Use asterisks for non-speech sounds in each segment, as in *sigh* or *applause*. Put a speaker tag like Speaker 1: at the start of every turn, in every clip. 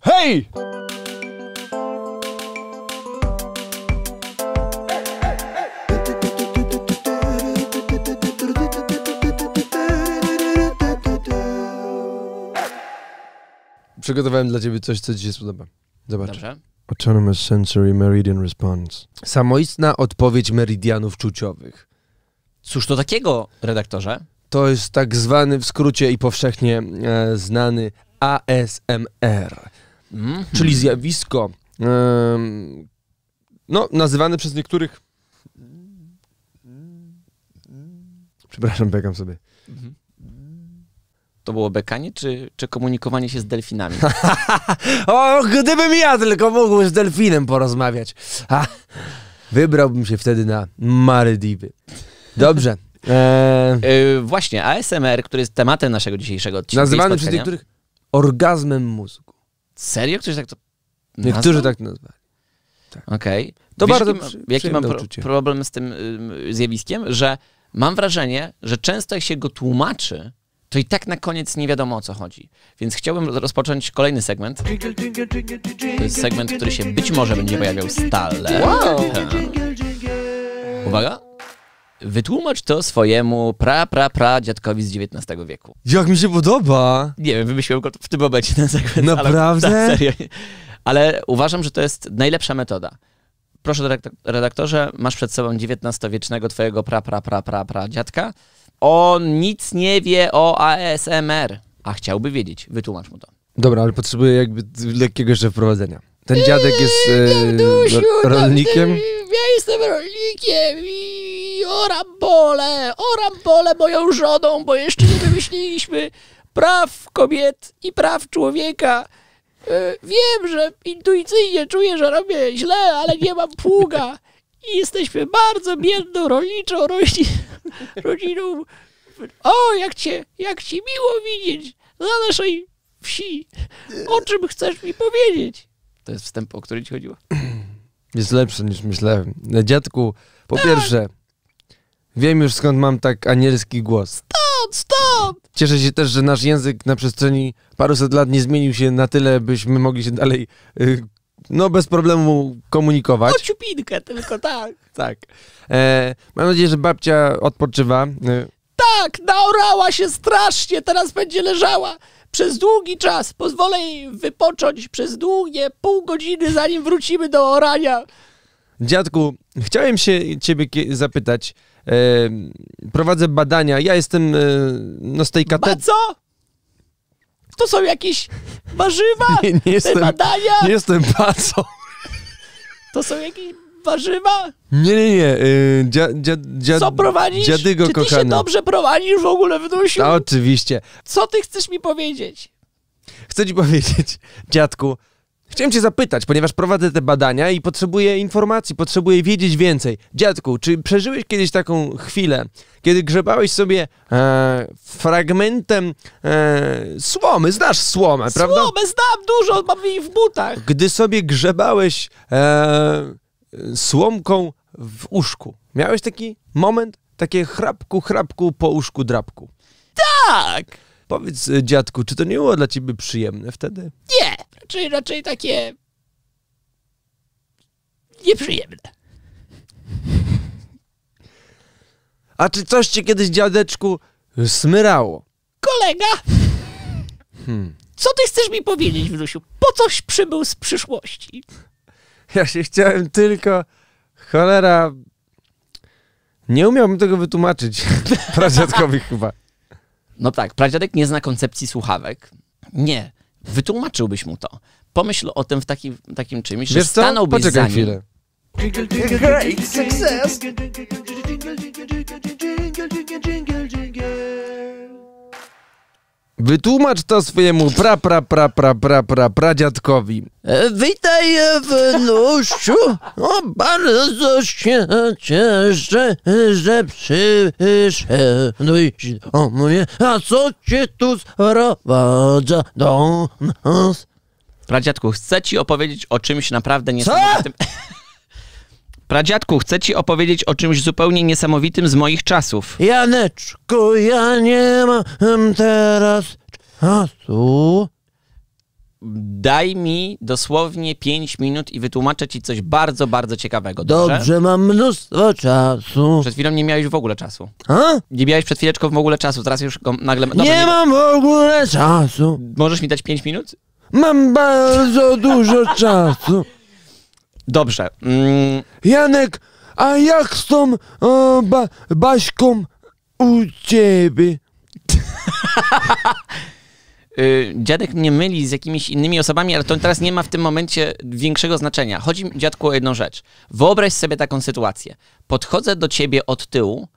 Speaker 1: Hej! Przygotowałem dla ciebie coś, co dzisiaj się spodoba. Zobacz. Dobrze. Autonomous Sensory Meridian Response. Samoistna odpowiedź meridianów czuciowych.
Speaker 2: Cóż to takiego, redaktorze?
Speaker 1: To jest tak zwany w skrócie i powszechnie e, znany ASMR, mhm. czyli zjawisko no, nazywane przez niektórych. Przepraszam, biegam sobie. Mhm.
Speaker 2: To było bekanie, czy, czy komunikowanie się z delfinami? *laughs* o, gdybym ja tylko mógł z delfinem porozmawiać.
Speaker 1: wybrałbym się wtedy na Marydiwy. Dobrze. *laughs* E,
Speaker 2: e, właśnie, ASMR, który jest tematem naszego dzisiejszego odcinka. Nazwany przez niektórych
Speaker 1: orgazmem mózgu.
Speaker 2: Serio? Ktoś tak to nazwał? Niektórzy tak to nazwali. Tak. Okej. Okay. To bardzo jaki, mam pro, problem z tym zjawiskiem, że mam wrażenie, że często jak się go tłumaczy, to i tak na koniec nie wiadomo o co chodzi. Więc chciałbym rozpocząć kolejny segment.
Speaker 3: To jest segment, który się
Speaker 2: być może będzie pojawiał stale. Hmm. Uwaga. Wytłumacz to swojemu pra, pra, pra dziadkowi z XIX wieku. Jak mi się podoba! Nie wiem, wymyśliłem go w tym momencie na segment. Naprawdę? Ale, tak, serio. ale uważam, że to jest najlepsza metoda. Proszę, redaktorze, masz przed sobą XIX-wiecznego twojego pra, pra, pra, pra, pra dziadka. On nic nie wie o ASMR, a chciałby wiedzieć. Wytłumacz mu to.
Speaker 1: Dobra, ale potrzebuję jakby lekkiego jeszcze wprowadzenia. Ten dziadek jest e, rolnikiem. E,
Speaker 2: ja jestem rolnikiem i oram pole, oram pole moją żoną, bo jeszcze nie wymyśliliśmy praw kobiet i praw człowieka. E, wiem, że intuicyjnie czuję, że robię źle, ale nie mam pługa. I jesteśmy bardzo biedną rolniczą rodziną. *laughs* rodziną. O, jak cię jak ci miło widzieć na naszej wsi. O czym chcesz mi powiedzieć? To jest wstęp, o który ci chodziło. *clears throat*
Speaker 1: Jest lepszy niż myślałem. E, dziadku, po tak. pierwsze, wiem już skąd mam tak anielski głos. Stąd, stąd! Cieszę się też, że nasz język na przestrzeni paruset lat nie zmienił się na tyle, byśmy mogli się dalej, y, no bez problemu komunikować. O
Speaker 2: ciupinkę tylko, tak.
Speaker 1: Tak. tak. E, mam nadzieję, że babcia odpoczywa. E,
Speaker 2: tak, naorała się strasznie, teraz będzie leżała przez długi czas. Pozwolę jej wypocząć przez długie pół godziny, zanim wrócimy do orania.
Speaker 1: Dziadku, chciałem się ciebie zapytać. E, prowadzę badania, ja jestem e, no z tej kategorii... co?
Speaker 2: To są jakieś warzywa? *laughs* Nie, badania? Nie
Speaker 1: jestem bacą. *laughs*
Speaker 2: To są jakieś warzywa?
Speaker 1: Nie, nie, nie. Yy, dzia, dzia, Co prowadzisz? Dziadygo Czy ty się dobrze
Speaker 2: prowadzisz w ogóle w
Speaker 1: dusiu? oczywiście.
Speaker 2: Co ty chcesz mi powiedzieć?
Speaker 1: Chcę ci powiedzieć, dziadku, Chciałem cię zapytać, ponieważ prowadzę te badania i potrzebuję informacji, potrzebuję wiedzieć więcej. Dziadku, czy przeżyłeś kiedyś taką chwilę, kiedy grzebałeś sobie e, fragmentem E, słomy, znasz słomę, prawda? Słomę
Speaker 2: znam dużo, mam jej w butach.
Speaker 1: Gdy sobie grzebałeś e, słomką w uszku, miałeś taki moment, takie chrapku, chrapku po uszku, drapku. Tak! Powiedz, e, dziadku, czy to nie było dla ciebie przyjemne wtedy?
Speaker 2: Nie, raczej, raczej takie nieprzyjemne.
Speaker 1: A czy coś cię kiedyś, dziadeczku, smyrało?
Speaker 3: Kolega!
Speaker 1: Hmm. Co ty chcesz mi powiedzieć, Wnusiu? Po
Speaker 2: coś przybył z przyszłości?
Speaker 1: Ja się chciałem tylko. Cholera.
Speaker 2: Nie umiałbym tego wytłumaczyć *laughs* pradziadkowi chyba. No tak, pradziadek nie zna koncepcji słuchawek. Nie, wytłumaczyłbyś mu to. Pomyśl o tym w takim czymś, że stanąłby co? Poczekaj
Speaker 1: Jingle, jingle, Wytłumacz to swojemu pra pra pra pra pra pra pradziadkowi. E, witaj wnuściu. O, bardzo się cieszę, że przyszedłeś mnie. A co cię tu sprowadza do nas?
Speaker 2: Pradziadku, chcę ci opowiedzieć o czymś naprawdę niesamowitym. Co? *laughs* Pradziadku, chcę ci opowiedzieć o czymś zupełnie niesamowitym z moich czasów.
Speaker 1: Janeczku, ja nie mam teraz
Speaker 2: czasu. Daj mi dosłownie 5 minut i wytłumaczę ci coś bardzo, bardzo ciekawego. Dobrze, mam mnóstwo czasu. Przed chwilą nie miałeś w ogóle czasu. A? Nie miałeś przed chwileczką w ogóle czasu, teraz nie, mam w ogóle czasu. Możesz mi dać 5 minut?
Speaker 1: Mam bardzo dużo *laughs* czasu. Dobrze. Mm. Janek, a jak z tą o, Baśką u ciebie? *laughs*
Speaker 2: Y, dziadek nie myli z jakimiś innymi osobami, ale to teraz nie ma w tym momencie większego znaczenia. Chodzi mi, dziadku, o jedną rzecz. Wyobraź sobie taką sytuację. Podchodzę do ciebie od tyłu,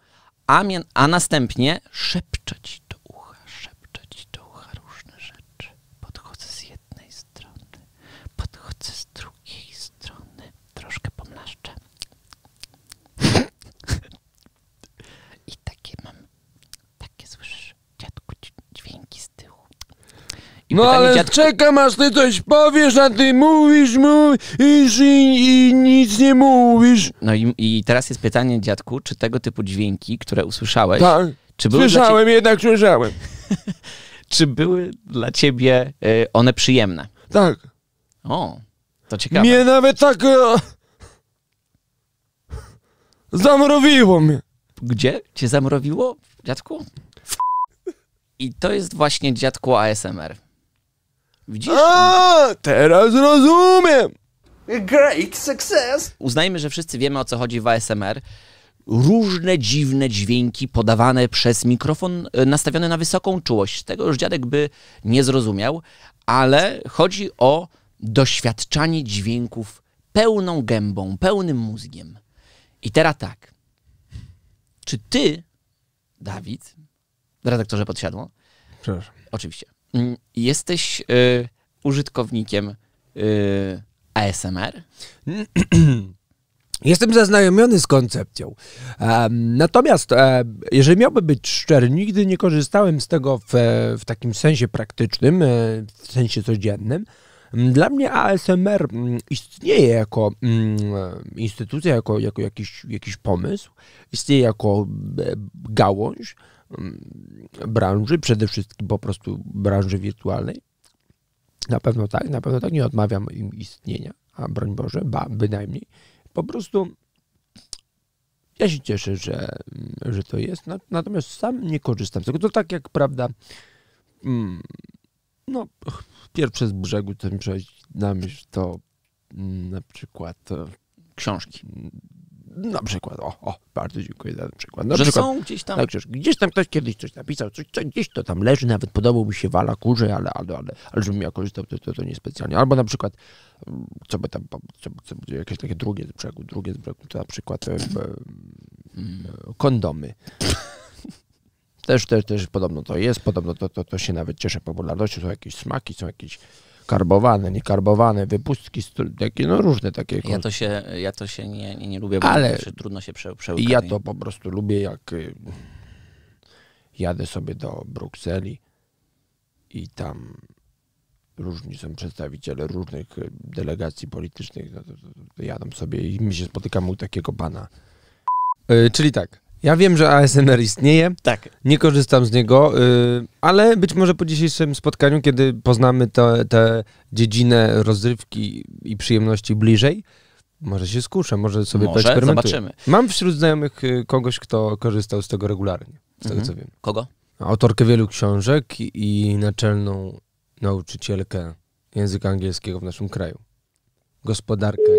Speaker 2: a, następnie szepczę ci do ucha, szepczę ci do ucha różne rzeczy. Podchodzę z jednej strony, podchodzę z drugiej strony, troszkę pomlaszczę. I takie mam,
Speaker 1: takie słyszysz, dziadku, dźwięki z tyłu. no ale czekam aż ty coś powiesz, a ty mówisz mu i nic nie mówisz.
Speaker 2: No i, teraz jest pytanie, dziadku, czy tego typu dźwięki, które usłyszałeś... Tak, czy były słyszałem,
Speaker 1: jednak słyszałem.
Speaker 2: *laughs* czy były dla ciebie e, one przyjemne? Tak. O, to ciekawe. Mnie
Speaker 1: nawet tak... E,
Speaker 2: zamrowiło mnie. Gdzie? Cię zamrowiło, dziadku? I to jest właśnie dziadku ASMR. Widzisz? A, teraz rozumiem! Great success! Uznajmy, że wszyscy wiemy, o co chodzi w ASMR. Różne dziwne dźwięki podawane przez mikrofon e, nastawione na wysoką czułość. Tego już dziadek by nie zrozumiał, ale chodzi o doświadczanie dźwięków pełną gębą, pełnym mózgiem. I teraz tak. Czy ty, Dawid, redaktorze podsiadło. Przepraszam. Oczywiście. Mm, jesteś y, użytkownikiem y, ASMR? *clears throat* Jestem zaznajomiony
Speaker 1: z koncepcją. natomiast, e, jeżeli miałbym być szczery, nigdy nie korzystałem z tego w, takim sensie praktycznym, e, w sensie codziennym. Mm, dla mnie ASMR mm, istnieje jako instytucja, jako, jakiś pomysł biznesu. Istnieje jako e, gałąź mm, branży, przede wszystkim po prostu branży wirtualnej. Na pewno tak, na pewno tak, nie odmawiam im istnienia, a broń Boże, ba, bynajmniej. Po prostu ja się cieszę, że, mm, że to jest, natomiast sam nie korzystam z tego. To tak jak, prawda, mm, no, pierwsze z brzegu, to mi przychodzi na myśl, to Mm, na przykład e, książki. Mm, na przykład, o, o bardzo dziękuję za ten przykład. Na że są gdzieś tam. Przykład, gdzieś tam ktoś kiedyś coś napisał, coś, coś, gdzieś to tam leży, nawet podobał mi się wala kurze, ale, ale, ale, ale żebym ja korzystał, to, to, to niespecjalnie. Albo na przykład, mm, co by tam, co, co, jakieś takie drugie z brzegu, drugie z to na przykład e, e, kondomy. Też, też, też podobno to jest, podobno to, to, to się nawet cieszy popularnością, są jakieś smaki, są jakieś karbowane, niekarbowany, wypustki, takie, no różne takie. Ja to
Speaker 2: się, ja to się nie, nie, lubię, bo Ale trudno się prze, przełykać. Ja to po prostu lubię, jak y, jadę sobie do
Speaker 1: Brukseli i tam różni są przedstawiciele różnych y, delegacji politycznych, no sobie i mi się spotykam u takiego pana. Y, czyli tak, ja wiem, że ASMR istnieje. Tak. Nie korzystam z niego ale być może po dzisiejszym spotkaniu, kiedy poznamy tę dziedzinę rozrywki i przyjemności bliżej, może się skuszę, może sobie może, poeksperymentuję. zobaczymy. Mam wśród znajomych y, kogoś, kto korzystał z tego regularnie, z tego mhm. co wiem. Kogo? Autorkę wielu książek i naczelną nauczycielkę języka angielskiego w
Speaker 2: naszym kraju. Gospodarkę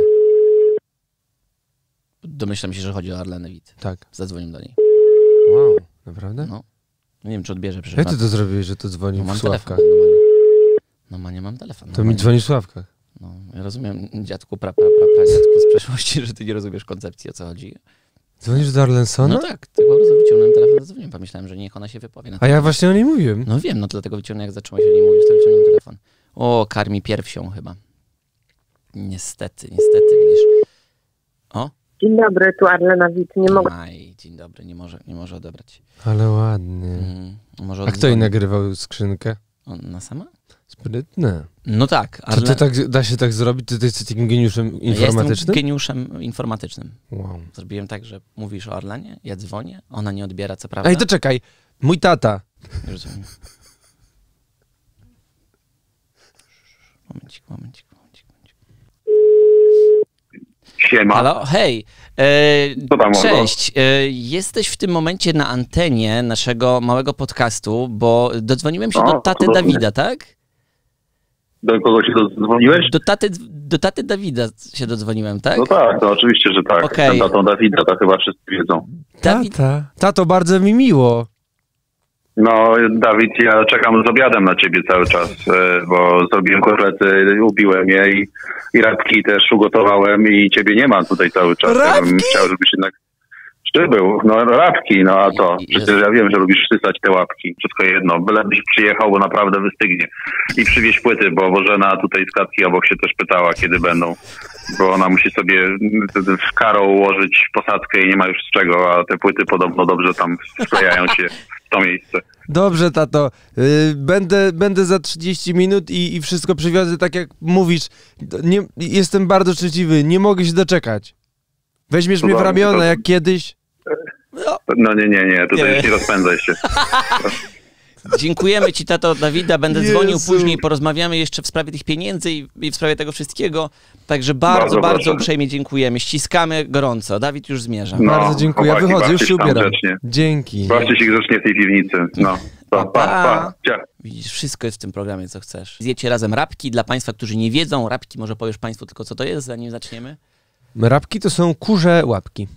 Speaker 2: Domyślam się, że chodzi o Arlenę Wit. Tak. Zadzwonił do niej. Wow, naprawdę? No. Nie wiem, czy odbierze przyszedł. Jak ty to zrobiłeś, że to dzwoni no, w mam Sławkach? Telefon, no, manie. nie mam telefonu. To mi nie... dzwoni w No, ja rozumiem, dziadku, pra, pra, pra, dziadku z przeszłości, *laughs* że ty nie rozumiesz koncepcji, o co chodzi. Dzwonisz do Arlensona? No tak, tylko po prostu wyciągnąłem telefon, zadzwoniłem, pomyślałem, że niech ona się wypowie. A ja właśnie o niej mówiłem. No wiem, no dlatego wyciągnąłem, jak zaczęła się o niej mówić, to wyciągnąłem telefon. O, karmi pierwsią chyba. Niestety, niestety, widzisz. O? Dzień dobry, tu Arlena Wit, nie mogę. Aj, dzień dobry, nie może, nie może odebrać. Ale ładnie. Mhm, A kto i
Speaker 1: nagrywał skrzynkę?
Speaker 2: Ona sama? Sprytne. No tak. Ale To, to tak,
Speaker 1: da się tak zrobić? Ty, ty jesteś takim geniuszem informatycznym? Ja jestem
Speaker 2: geniuszem informatycznym. Wow. Zrobiłem tak, że mówisz o Arlenie, ja dzwonię, ona nie odbiera, co prawda. Ej, to
Speaker 1: czekaj, mój tata.
Speaker 2: Rozumiem. Momencik, momencik, momencik. momencik. Siema. Halo, hej. E, cześć. E, jesteś w tym momencie na antenie naszego małego podcastu, bo dodzwoniłem się do taty Dawida, tak?
Speaker 3: Do kogo się dodzwoniłeś?
Speaker 2: Do taty, do taty Dawida się dodzwoniłem, tak? No tak,
Speaker 3: to oczywiście, że tak. Okay. Ten tatą Dawida, to chyba wszyscy wiedzą.
Speaker 2: Dawid... Tata. Tato, bardzo mi miło.
Speaker 3: No, Dawid, ja czekam z obiadem na ciebie cały czas, e, bo zrobiłem kotlety, ubiłem je i, i rabki też ugotowałem i ciebie nie mam tutaj cały czas. Rabki? Ja bym chciał, żebyś jednak był, no łapki, no a to. Przecież ja wiem, że lubisz sysać te łapki. Wszystko jedno. Bylebyś przyjechał, bo naprawdę wystygnie. I przywieź płyty, bo Bożena tutaj z Katki obok się też pytała, kiedy będą. Bo ona musi sobie w karą ułożyć posadzkę i nie ma już z czego, a te płyty podobno dobrze tam sklejają się w to miejsce.
Speaker 1: Dobrze, tato. Y, będę, będę za 30 minut i, wszystko przywiozę tak jak mówisz. jestem bardzo szczęśliwy, nie mogę się doczekać. Weźmiesz mnie w ramiona
Speaker 2: jak kiedyś.
Speaker 3: No. no. nie, nie, nie, tutaj nie, nie rozpędzaj się. *laughs*
Speaker 2: Dziękujemy Ci, tato Dawida. Będę dzwonił później, porozmawiamy jeszcze w sprawie tych pieniędzy i w sprawie tego wszystkiego. Także bardzo, bardzo, bardzo uprzejmie dziękujemy. Ściskamy gorąco. Dawid już zmierza. No, bardzo dziękuję. Ja Wychodzę, już się ubieram. Grzecznie. Dzięki. Bawcie
Speaker 3: się grzecznie w tej piwnicy. No. Pa, pa, pa.
Speaker 1: pa.
Speaker 2: Widzisz, wszystko jest w tym programie, co chcesz. Zjecie razem rabki. Dla Państwa, którzy nie wiedzą, rabki może powiesz Państwu tylko, co to jest, zanim zaczniemy?
Speaker 1: Rabki to są kurze łapki.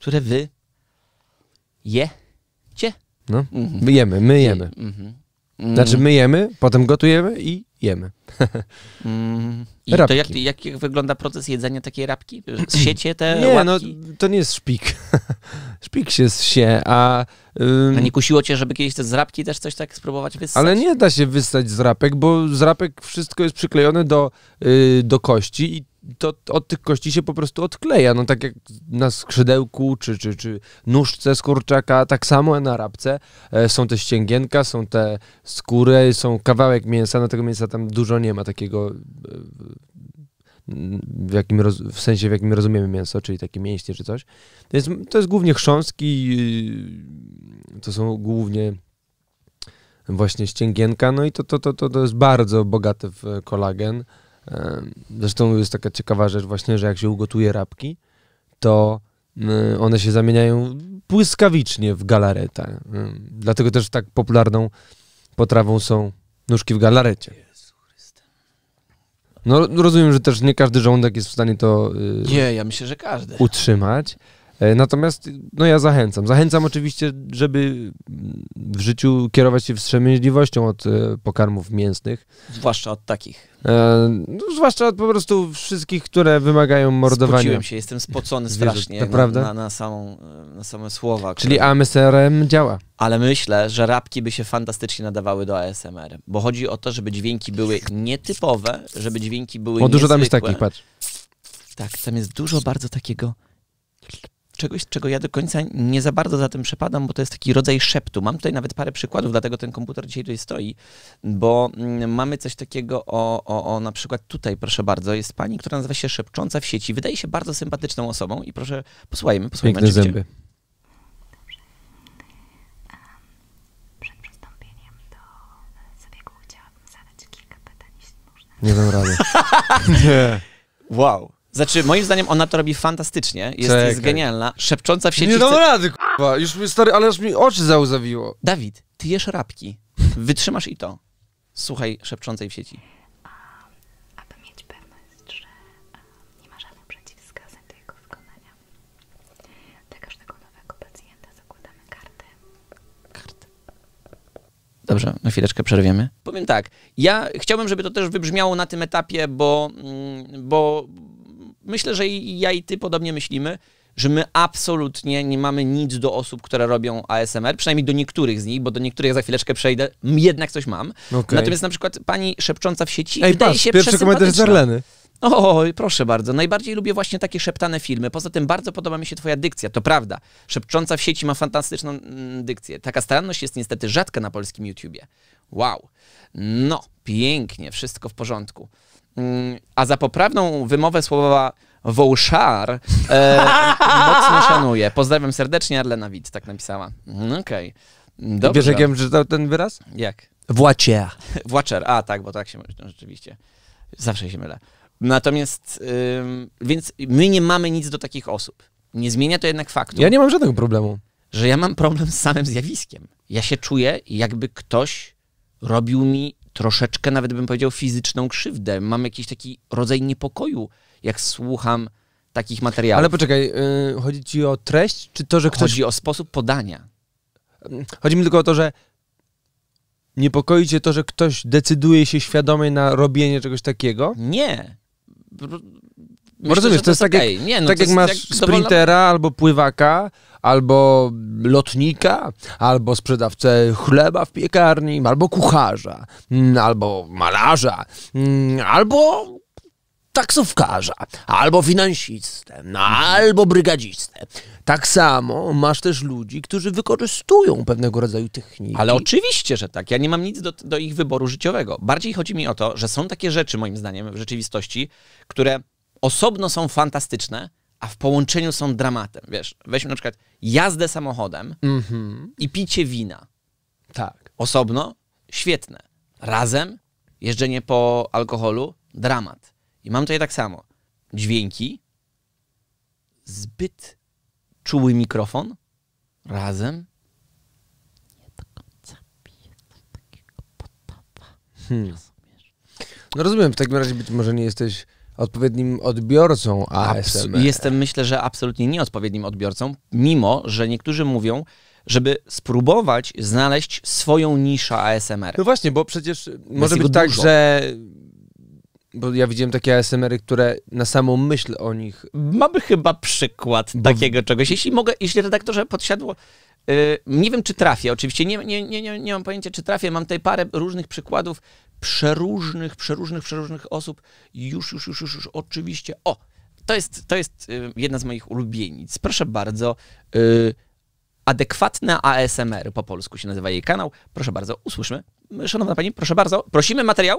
Speaker 2: Które wy je Cie.
Speaker 1: No, mhm. my jemy, my jemy. Mhm. Znaczy myjemy, potem gotujemy i jemy. *laughs* Mhm. I to jak,
Speaker 2: jak, wygląda proces jedzenia takiej rapki? *clears throat* Siecie te Nie, no
Speaker 1: to nie jest szpik. *laughs* szpik się zsie, a... A nie
Speaker 2: kusiło cię, żeby kiedyś te z rapki też coś tak spróbować wyssać? Ale
Speaker 1: nie da się wystać z rapek, bo z rapek wszystko jest przyklejone do, y, do kości i to od tych kości się po prostu odkleja. No tak jak na skrzydełku, czy, czy nóżce z kurczaka, tak samo na rabce. E, są te ścięgienka, są te skóry, są kawałek mięsa, no tego mięsa tam dużo nie ma takiego e, w, jakim w sensie, w jakim rozumiemy mięso, czyli takie mięśnie czy coś. Więc to jest głównie chrząski, e, to są głównie właśnie ścięgienka, no i to, to, to, to, to jest bardzo bogate w kolagen. Zresztą jest taka ciekawa rzecz właśnie, że jak się ugotuje rabki, to mm, one się zamieniają błyskawicznie w galareta, mm, Dlatego też tak popularną potrawą są nóżki w galarecie. No rozumiem, że też nie każdy żołądek jest w stanie to y, nie, ja myślę, że każdy. utrzymać. E, natomiast no ja zachęcam. Zachęcam oczywiście, żeby w życiu kierować się wstrzemięźliwością od e, pokarmów mięsnych
Speaker 2: Zwłaszcza od takich.
Speaker 1: E, no, zwłaszcza od po prostu wszystkich, które wymagają mordowania. Spociłem się, jestem spocony strasznie Zwierzę,
Speaker 2: na, samą, na same słowa. Czyli które...
Speaker 1: AMSRM działa.
Speaker 2: Ale myślę, że rapki by się fantastycznie nadawały do ASMR, bo chodzi o to, żeby dźwięki były nietypowe, żeby dźwięki były O, dużo tam jest takich, patrz. Tak, tam jest dużo bardzo takiego czegoś, czego ja do końca nie za bardzo za tym przepadam, bo to jest taki rodzaj szeptu. Mam tutaj nawet parę przykładów, dlatego ten komputer autor dzisiaj tutaj stoi, bo mm, mamy coś takiego o, o, o na przykład tutaj, proszę bardzo, jest pani, która nazywa się Szepcząca w sieci. Wydaje się bardzo sympatyczną osobą i proszę, posłuchajmy, posłuchajmy. Piękne zęby. Ehm,
Speaker 1: przed do kilka Nie dam rady.
Speaker 2: *laughs* Nie. Wow. Znaczy, moim zdaniem ona to robi fantastycznie, jest, jest genialna Anna, szepcząca w sieci... Nie dam rady, k***a. Już mi, stary, ale już mi oczy załzawiło. Dawid, ty jesz rabki. Wytrzymasz i to. Słuchaj szepczącej w sieci. Aby mieć pewność, że e, nie ma żadnych przeciwwskazań do jego wykonania. Dla każdego nowego pacjenta zakładamy kartę. Karty. Dobrze, na chwileczkę przerwiemy. Powiem tak, ja chciałbym, żeby to też wybrzmiało na tym etapie, bo, mm, bo myślę, że i ja i ty podobnie myślimy, że my absolutnie nie mamy nic do osób, które robią ASMR, przynajmniej do niektórych z nich, bo do niektórych za chwileczkę przejdę, jednak coś mam. Okay. Natomiast na przykład pani szepcząca w sieci Ej, wydaje patrz, się pierwszy komentarz z Arleny. proszę bardzo. Najbardziej lubię właśnie takie szeptane filmy. Poza tym bardzo podoba mi się twoja dykcja, to prawda. Szepcząca w sieci ma fantastyczną mm, dykcję. Taka staranność jest niestety rzadka na polskim YouTubie. Wow. No, pięknie, wszystko w porządku. Mm, a za poprawną wymowę słowa Wołszar e, *laughs* mocno szanuję. Pozdrawiam serdecznie, Arlena Wit, tak napisała. Mm, okej. Okay. Dobrze. Wiesz, jak ja czytał ten wyraz? Jak? Włacier. Włacier, a tak, bo tak się no, rzeczywiście. Zawsze się mylę. Natomiast, więc my nie mamy nic do takich osób. Nie zmienia to jednak faktu. Ja nie mam żadnego problemu że ja mam problem z samym zjawiskiem. Ja się czuję, jakby ktoś robił mi troszeczkę, nawet bym powiedział, fizyczną krzywdę. Mam jakiś taki rodzaj niepokoju, jak słucham takich materiałów. Ale poczekaj, y, chodzi ci o treść, czy to, że ktoś... Chodzi o sposób podania. Mm, chodzi mi tylko
Speaker 1: o to, że niepokoi cię to, że ktoś decyduje się świadomie na robienie czegoś takiego? Nie.
Speaker 2: Myślę, Rozumiesz, to, jest tak, jak, no tak masz sprintera
Speaker 1: albo pływaka, albo lotnika, albo sprzedawcę chleba w piekarni, albo kucharza, mm, albo malarza, mm, albo taksówkarza, albo finansistę, no, albo brygadzistę. Tak samo masz też ludzi, którzy wykorzystują pewnego rodzaju
Speaker 2: techniki. Ale oczywiście, że tak. Ja nie mam nic do ich wyboru życiowego. Bardziej chodzi mi o to, że są takie rzeczy, moim zdaniem, w rzeczywistości, które osobno są fantastyczne, a w połączeniu są dramatem. Wiesz, weźmy na przykład jazdę samochodem
Speaker 3: mhm.
Speaker 2: i picie wina. Tak. Osobno świetne. Razem jeżdżenie po alkoholu dramat. I mam tutaj tak samo. Dźwięki, zbyt czuły mikrofon, razem nie do końca Hmm. No
Speaker 1: rozumiem, w takim razie być może nie jesteś odpowiednim odbiorcą ASMR.
Speaker 2: jestem, myślę, że absolutnie nieodpowiednim odbiorcą, mimo że niektórzy mówią, żeby spróbować znaleźć swoją niszę ASMR. No właśnie, bo przecież może być tak, że bo ja
Speaker 1: widziałem takie ASMRy, które na samą myśl o nich. Mamy chyba przykład
Speaker 2: takiego czegoś. Jeśli mogę, jeśli redaktorze podsiadło, nie wiem, czy trafię, oczywiście nie, nie, nie, nie mam pojęcia, czy trafię. Mam tutaj parę różnych przykładów przeróżnych, przeróżnych, przeróżnych osób. Już, już, już, już, już oczywiście. O, to jest, to jest jedna z moich ulubienic. Proszę bardzo. Y, adekwatne ASMR po polsku się nazywa jej kanał. Proszę bardzo, Usłyszymy. Szanowna pani, proszę bardzo, prosimy materiał.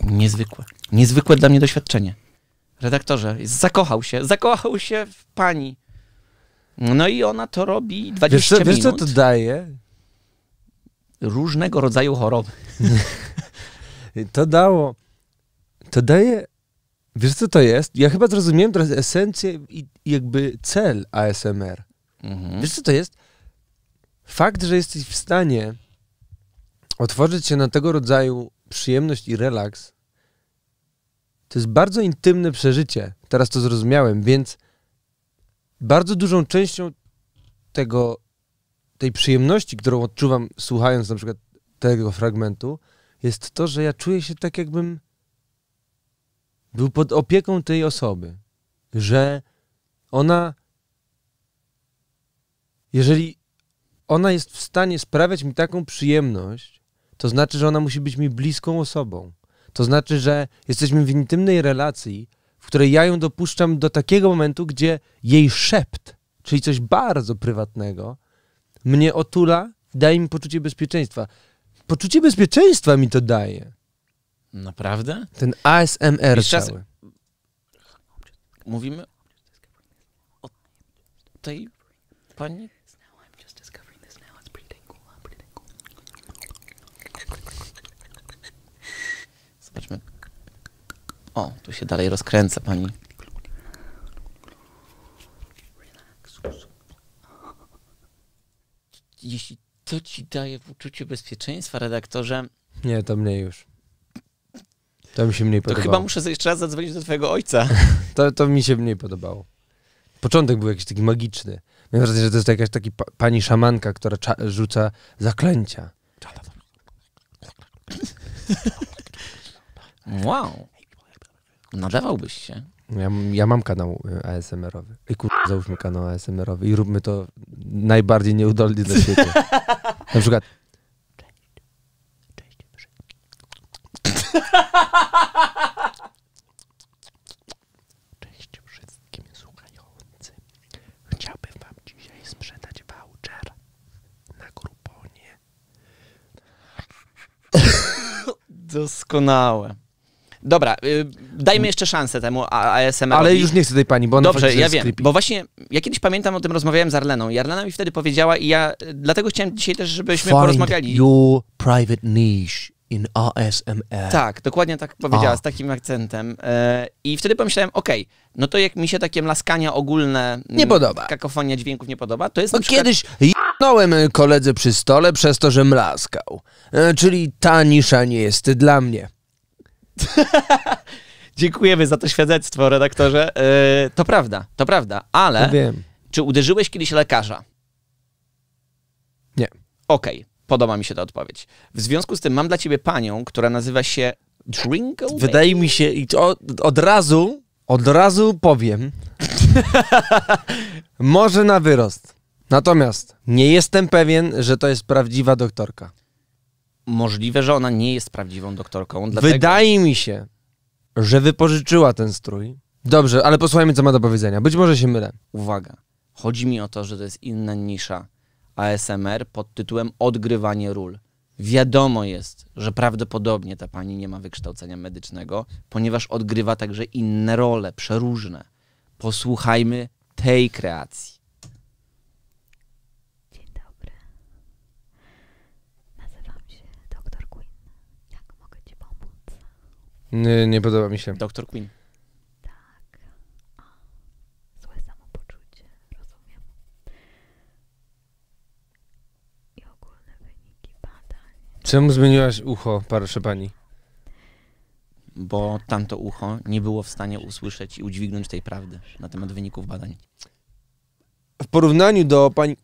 Speaker 2: Niezwykłe. Niezwykłe dla mnie doświadczenie. Redaktorze, zakochał się, zakochał się w pani. No i ona to robi 20 wiesz co, minut. Wiesz, co to daje? Różnego rodzaju choroby. *laughs* to dało,
Speaker 1: to daje Wiesz, co to jest? Ja chyba zrozumiałem teraz esencję i jakby cel ASMR. Mhm. Wiesz, co to jest? Fakt, że jesteś w stanie otworzyć się na tego rodzaju przyjemność i relaks, to jest bardzo intymne przeżycie. Teraz to zrozumiałem, więc bardzo dużą częścią tego, tej przyjemności, którą odczuwam słuchając na przykład tego fragmentu, jest to, że ja czuję się tak, jakbym był pod opieką tej osoby, że ona, jeżeli ona jest w stanie sprawiać mi taką przyjemność, to znaczy, że ona musi być mi bliską osobą. To znaczy, że jesteśmy w intymnej relacji, w której ja ją dopuszczam do takiego momentu, gdzie jej szept czyli coś bardzo prywatnego, mnie otula, daje mi poczucie bezpieczeństwa. Poczucie bezpieczeństwa mi to daje.
Speaker 2: Naprawdę?
Speaker 1: Ten ASMR I cały.
Speaker 2: Mówimy o tej pani? Zobaczmy. O, tu się dalej rozkręca pani. Relax. Jeśli to ci daje poczucie bezpieczeństwa, redaktorze.
Speaker 1: Nie, to mnie już. To mi się mniej podobało. To chyba muszę
Speaker 2: jeszcze raz zadzwonić do twojego ojca. *laughs* to,
Speaker 1: to mi się mniej podobało. Początek był jakiś taki magiczny. Miałem wrażenie, że to jest jakaś taki pani szamanka, która rzuca zaklęcia. Wow. Nadawałbyś się. Ja, mam kanał y, ASMR-owy. I kur... załóżmy kanał ASMR-owy i róbmy to najbardziej nieudolnie dla siebie. *laughs* Na Cześć. Cześć. Cześć wszystkim
Speaker 2: słuchającym. Chciałbym wam dzisiaj sprzedać voucher na gruponie. Doskonałe. Dobra, y, dajmy jeszcze szansę temu ASMR. Ale już nie chcę tej pani, bo ona Dobrze, ja wiem, creepy. bo właśnie ja kiedyś pamiętam o tym rozmawiałem z Arleną i Arlena mi wtedy powiedziała i ja y, dlatego chciałem dzisiaj też, żebyśmy Find porozmawiali.
Speaker 1: your private niche in ASMR. Tak, dokładnie tak powiedziała, z
Speaker 2: takim akcentem. Y, I wtedy pomyślałem, okej, no to jak mi się takie mlaskania ogólne, Nie mm, podoba. kakofonia dźwięków nie podoba, to jest Bo kiedyś
Speaker 1: Kiedyś jednąłem koledze przy stole przez to, że mlaskał. E, czyli ta nisza nie jest dla mnie. *laughs*
Speaker 2: Dziękujemy za to świadectwo, redaktorze. E, to prawda, to prawda, ale no wiem. czy uderzyłeś kiedyś lekarza? Nie. OK. podoba mi się ta odpowiedź. W związku z tym mam dla ciebie panią, która nazywa się Drinko. Wydaje mi się, i od, od razu od razu powiem.
Speaker 1: *laughs* Może na wyrost. Natomiast nie jestem pewien, że to jest prawdziwa doktorka.
Speaker 2: Możliwe, że ona nie jest prawdziwą doktorką. Wydaje
Speaker 1: mi się, że wypożyczyła ten strój. Dobrze, ale posłuchajmy, co ma do powiedzenia. Być może się mylę.
Speaker 2: Uwaga. Chodzi mi o to, że to jest inna nisza ASMR pod tytułem odgrywanie ról. Wiadomo jest, że prawdopodobnie ta pani nie ma wykształcenia medycznego, ponieważ odgrywa także inne role, przeróżne. Posłuchajmy tej kreacji. Dzień dobry.
Speaker 1: Nazywam się Dr. Queen. Jak mogę ci pomóc? Nie, nie podoba mi się. Doktor Queen. Tak. O, złe samopoczucie, rozumiem
Speaker 2: i ogólne wyniki badań. Czemu zmieniłaś ucho, proszę pani? Bo tamto ucho nie było w stanie usłyszeć i udźwignąć tej prawdy na temat wyników badań. W porównaniu do pani,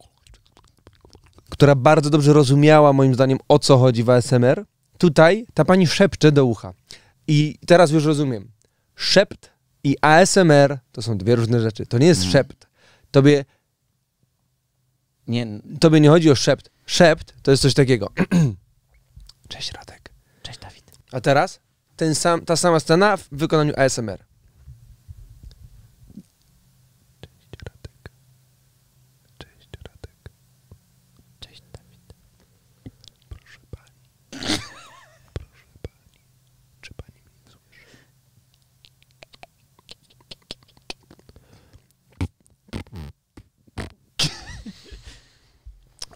Speaker 1: która bardzo dobrze rozumiała, moim zdaniem, o co chodzi w ASMR, tutaj ta pani szepcze do ucha. I teraz już rozumiem. Szept i ASMR to są dwie różne rzeczy. To nie jest mhm. szept. Tobie nie. Tobie nie chodzi o szept. Szept to jest coś takiego. *clears throat* Cześć Radek. Cześć Dawid. A teraz ten sam, ta sama scena w wykonaniu ASMR. Cześć Radek. Cześć Radek. Cześć Dawid. Proszę pani. Proszę pani. Czy pani mnie słyszy?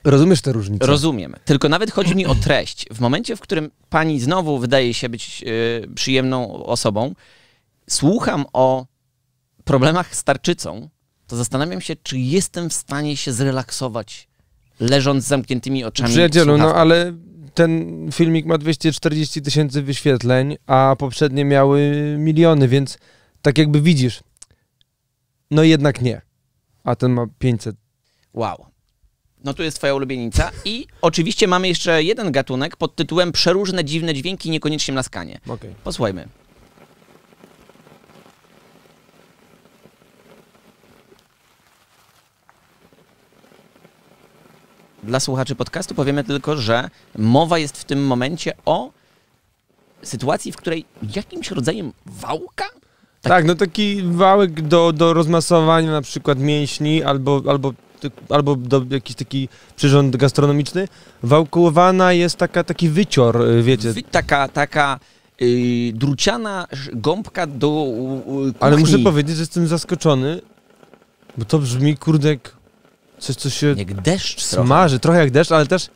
Speaker 1: Rozumiesz tę różnicę? Rozumiem.
Speaker 2: Tylko nawet chodzi mi o treść. W momencie, w którym pani znowu wydaje się być e, przyjemną osobą, słucham o problemach z tarczycą, to zastanawiam się, czy jestem w stanie się zrelaksować, leżąc z zamkniętymi oczami. Przyjacielu, no, no
Speaker 1: ale ten filmik ma 240 tysięcy wyświetleń, a poprzednie miały miliony, więc tak jakby widzisz, no jednak nie. A ten ma 500.
Speaker 2: Wow. No tu jest twoja ulubienica. I oczywiście mamy jeszcze jeden gatunek pod tytułem Przeróżne dziwne dźwięki, niekoniecznie laskanie. Okay. Posłuchajmy. Dla słuchaczy podcastu powiemy tylko, że mowa jest w tym momencie o sytuacji, w której jakimś rodzajem wałka
Speaker 1: tak. tak no taki wałek do, do rozmasowania na przykład mięśni albo, albo, albo jakiś taki przyrząd gastronomiczny. Wałkowana jest taka, taki wycior, y, wiecie.
Speaker 2: taka, taka y, druciana gąbka do yy, Ale muszę powiedzieć, że jestem zaskoczony,
Speaker 1: bo to brzmi, kurde, coś, co się jak deszcz smaży. Trochę. trochę jak deszcz, ale też,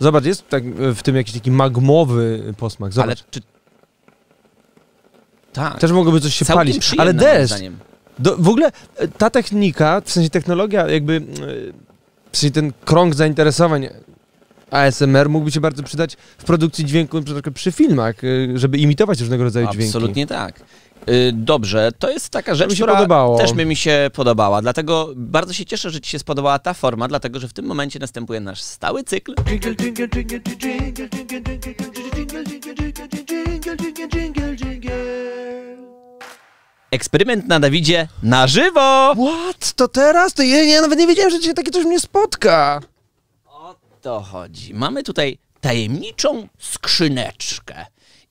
Speaker 1: zobacz, jest tak, e, w tym jakiś taki magmowy e, posmak. Zobacz. Ale czy...
Speaker 2: Tak. Też mogłoby coś się palić. Ale deszcz.
Speaker 1: w ogóle e, ta technika, w sensie technologia, jakby w sensie ten krąg zainteresowań ASMR mógłby się bardzo przydać w produkcji dźwięku, przy, przy filmach, żeby imitować różnego rodzaju dźwięki. Absolutnie
Speaker 2: tak. Dobrze, to jest taka rzecz, się podobało. też by mi się podobała. Dlatego bardzo się cieszę, że Ci się spodobała ta forma, dlatego że w tym momencie następuje nasz stały cykl. Eksperyment na Dawidzie na żywo! What?
Speaker 1: To teraz? To ja, nawet nie wiedziałem, że dzisiaj taki coś mnie spotka.
Speaker 2: O to chodzi. Mamy tutaj tajemniczą skrzyneczkę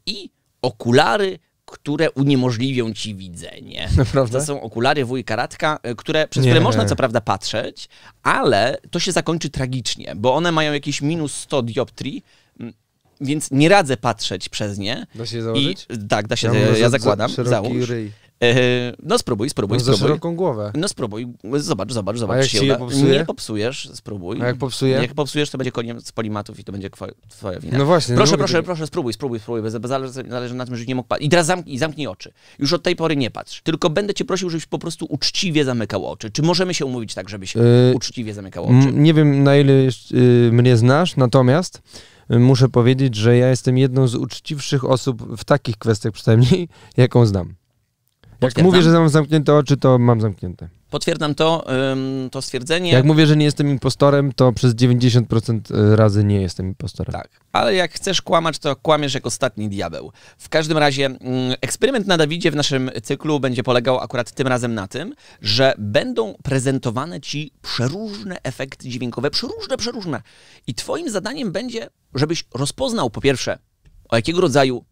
Speaker 2: i okulary które uniemożliwią ci widzenie. *laughs* To są okulary wujka Radka, e, które, przez nie. które można co prawda patrzeć, ale to się zakończy tragicznie, bo one mają jakieś minus 100 dioptrii, więc nie radzę patrzeć przez nie. Da się założyć? I, e, tak, da się, ja, ja, zakładam. załóż. E, no spróbuj, spróbuj, no, spróbuj. Za szeroką głowę. No spróbuj, zobacz, zobacz, zobacz. A jak się, Nie popsujesz, spróbuj. A jak popsuję? popsujesz, to będzie koniem z polimatów i to będzie twoja wina. No właśnie. Proszę, proszę, proszę, spróbuj, spróbuj, spróbuj. Bez, bez zależy, zależy na tym, nie mógł I teraz zamknij, oczy. Już od tej pory nie patrz. Tylko będę cię prosił, żebyś po prostu uczciwie zamykał oczy. Czy możemy się umówić tak, żebyś yy, uczciwie zamykał oczy? Nie
Speaker 1: wiem, na ile yy, mnie znasz, natomiast yy, muszę powiedzieć, że ja jestem jedną z uczciwszych osób w takich kwestiach przynajmniej, *laughs* jaką znam. Jak mówię, że mam zamknięte oczy, to mam zamknięte.
Speaker 2: Potwierdzam to, to stwierdzenie. Jak mówię, że
Speaker 1: nie jestem impostorem, to przez 90% y, razy nie jestem impostorem. Tak,
Speaker 2: ale jak chcesz kłamać, to kłamiesz jak ostatni diabeł. W każdym razie mm, eksperyment na Dawidzie w naszym cyklu będzie polegał akurat tym razem na tym, że będą prezentowane ci przeróżne efekty dźwiękowe, przeróżne, przeróżne. I twoim zadaniem będzie, żebyś rozpoznał po pierwsze o jakiego rodzaju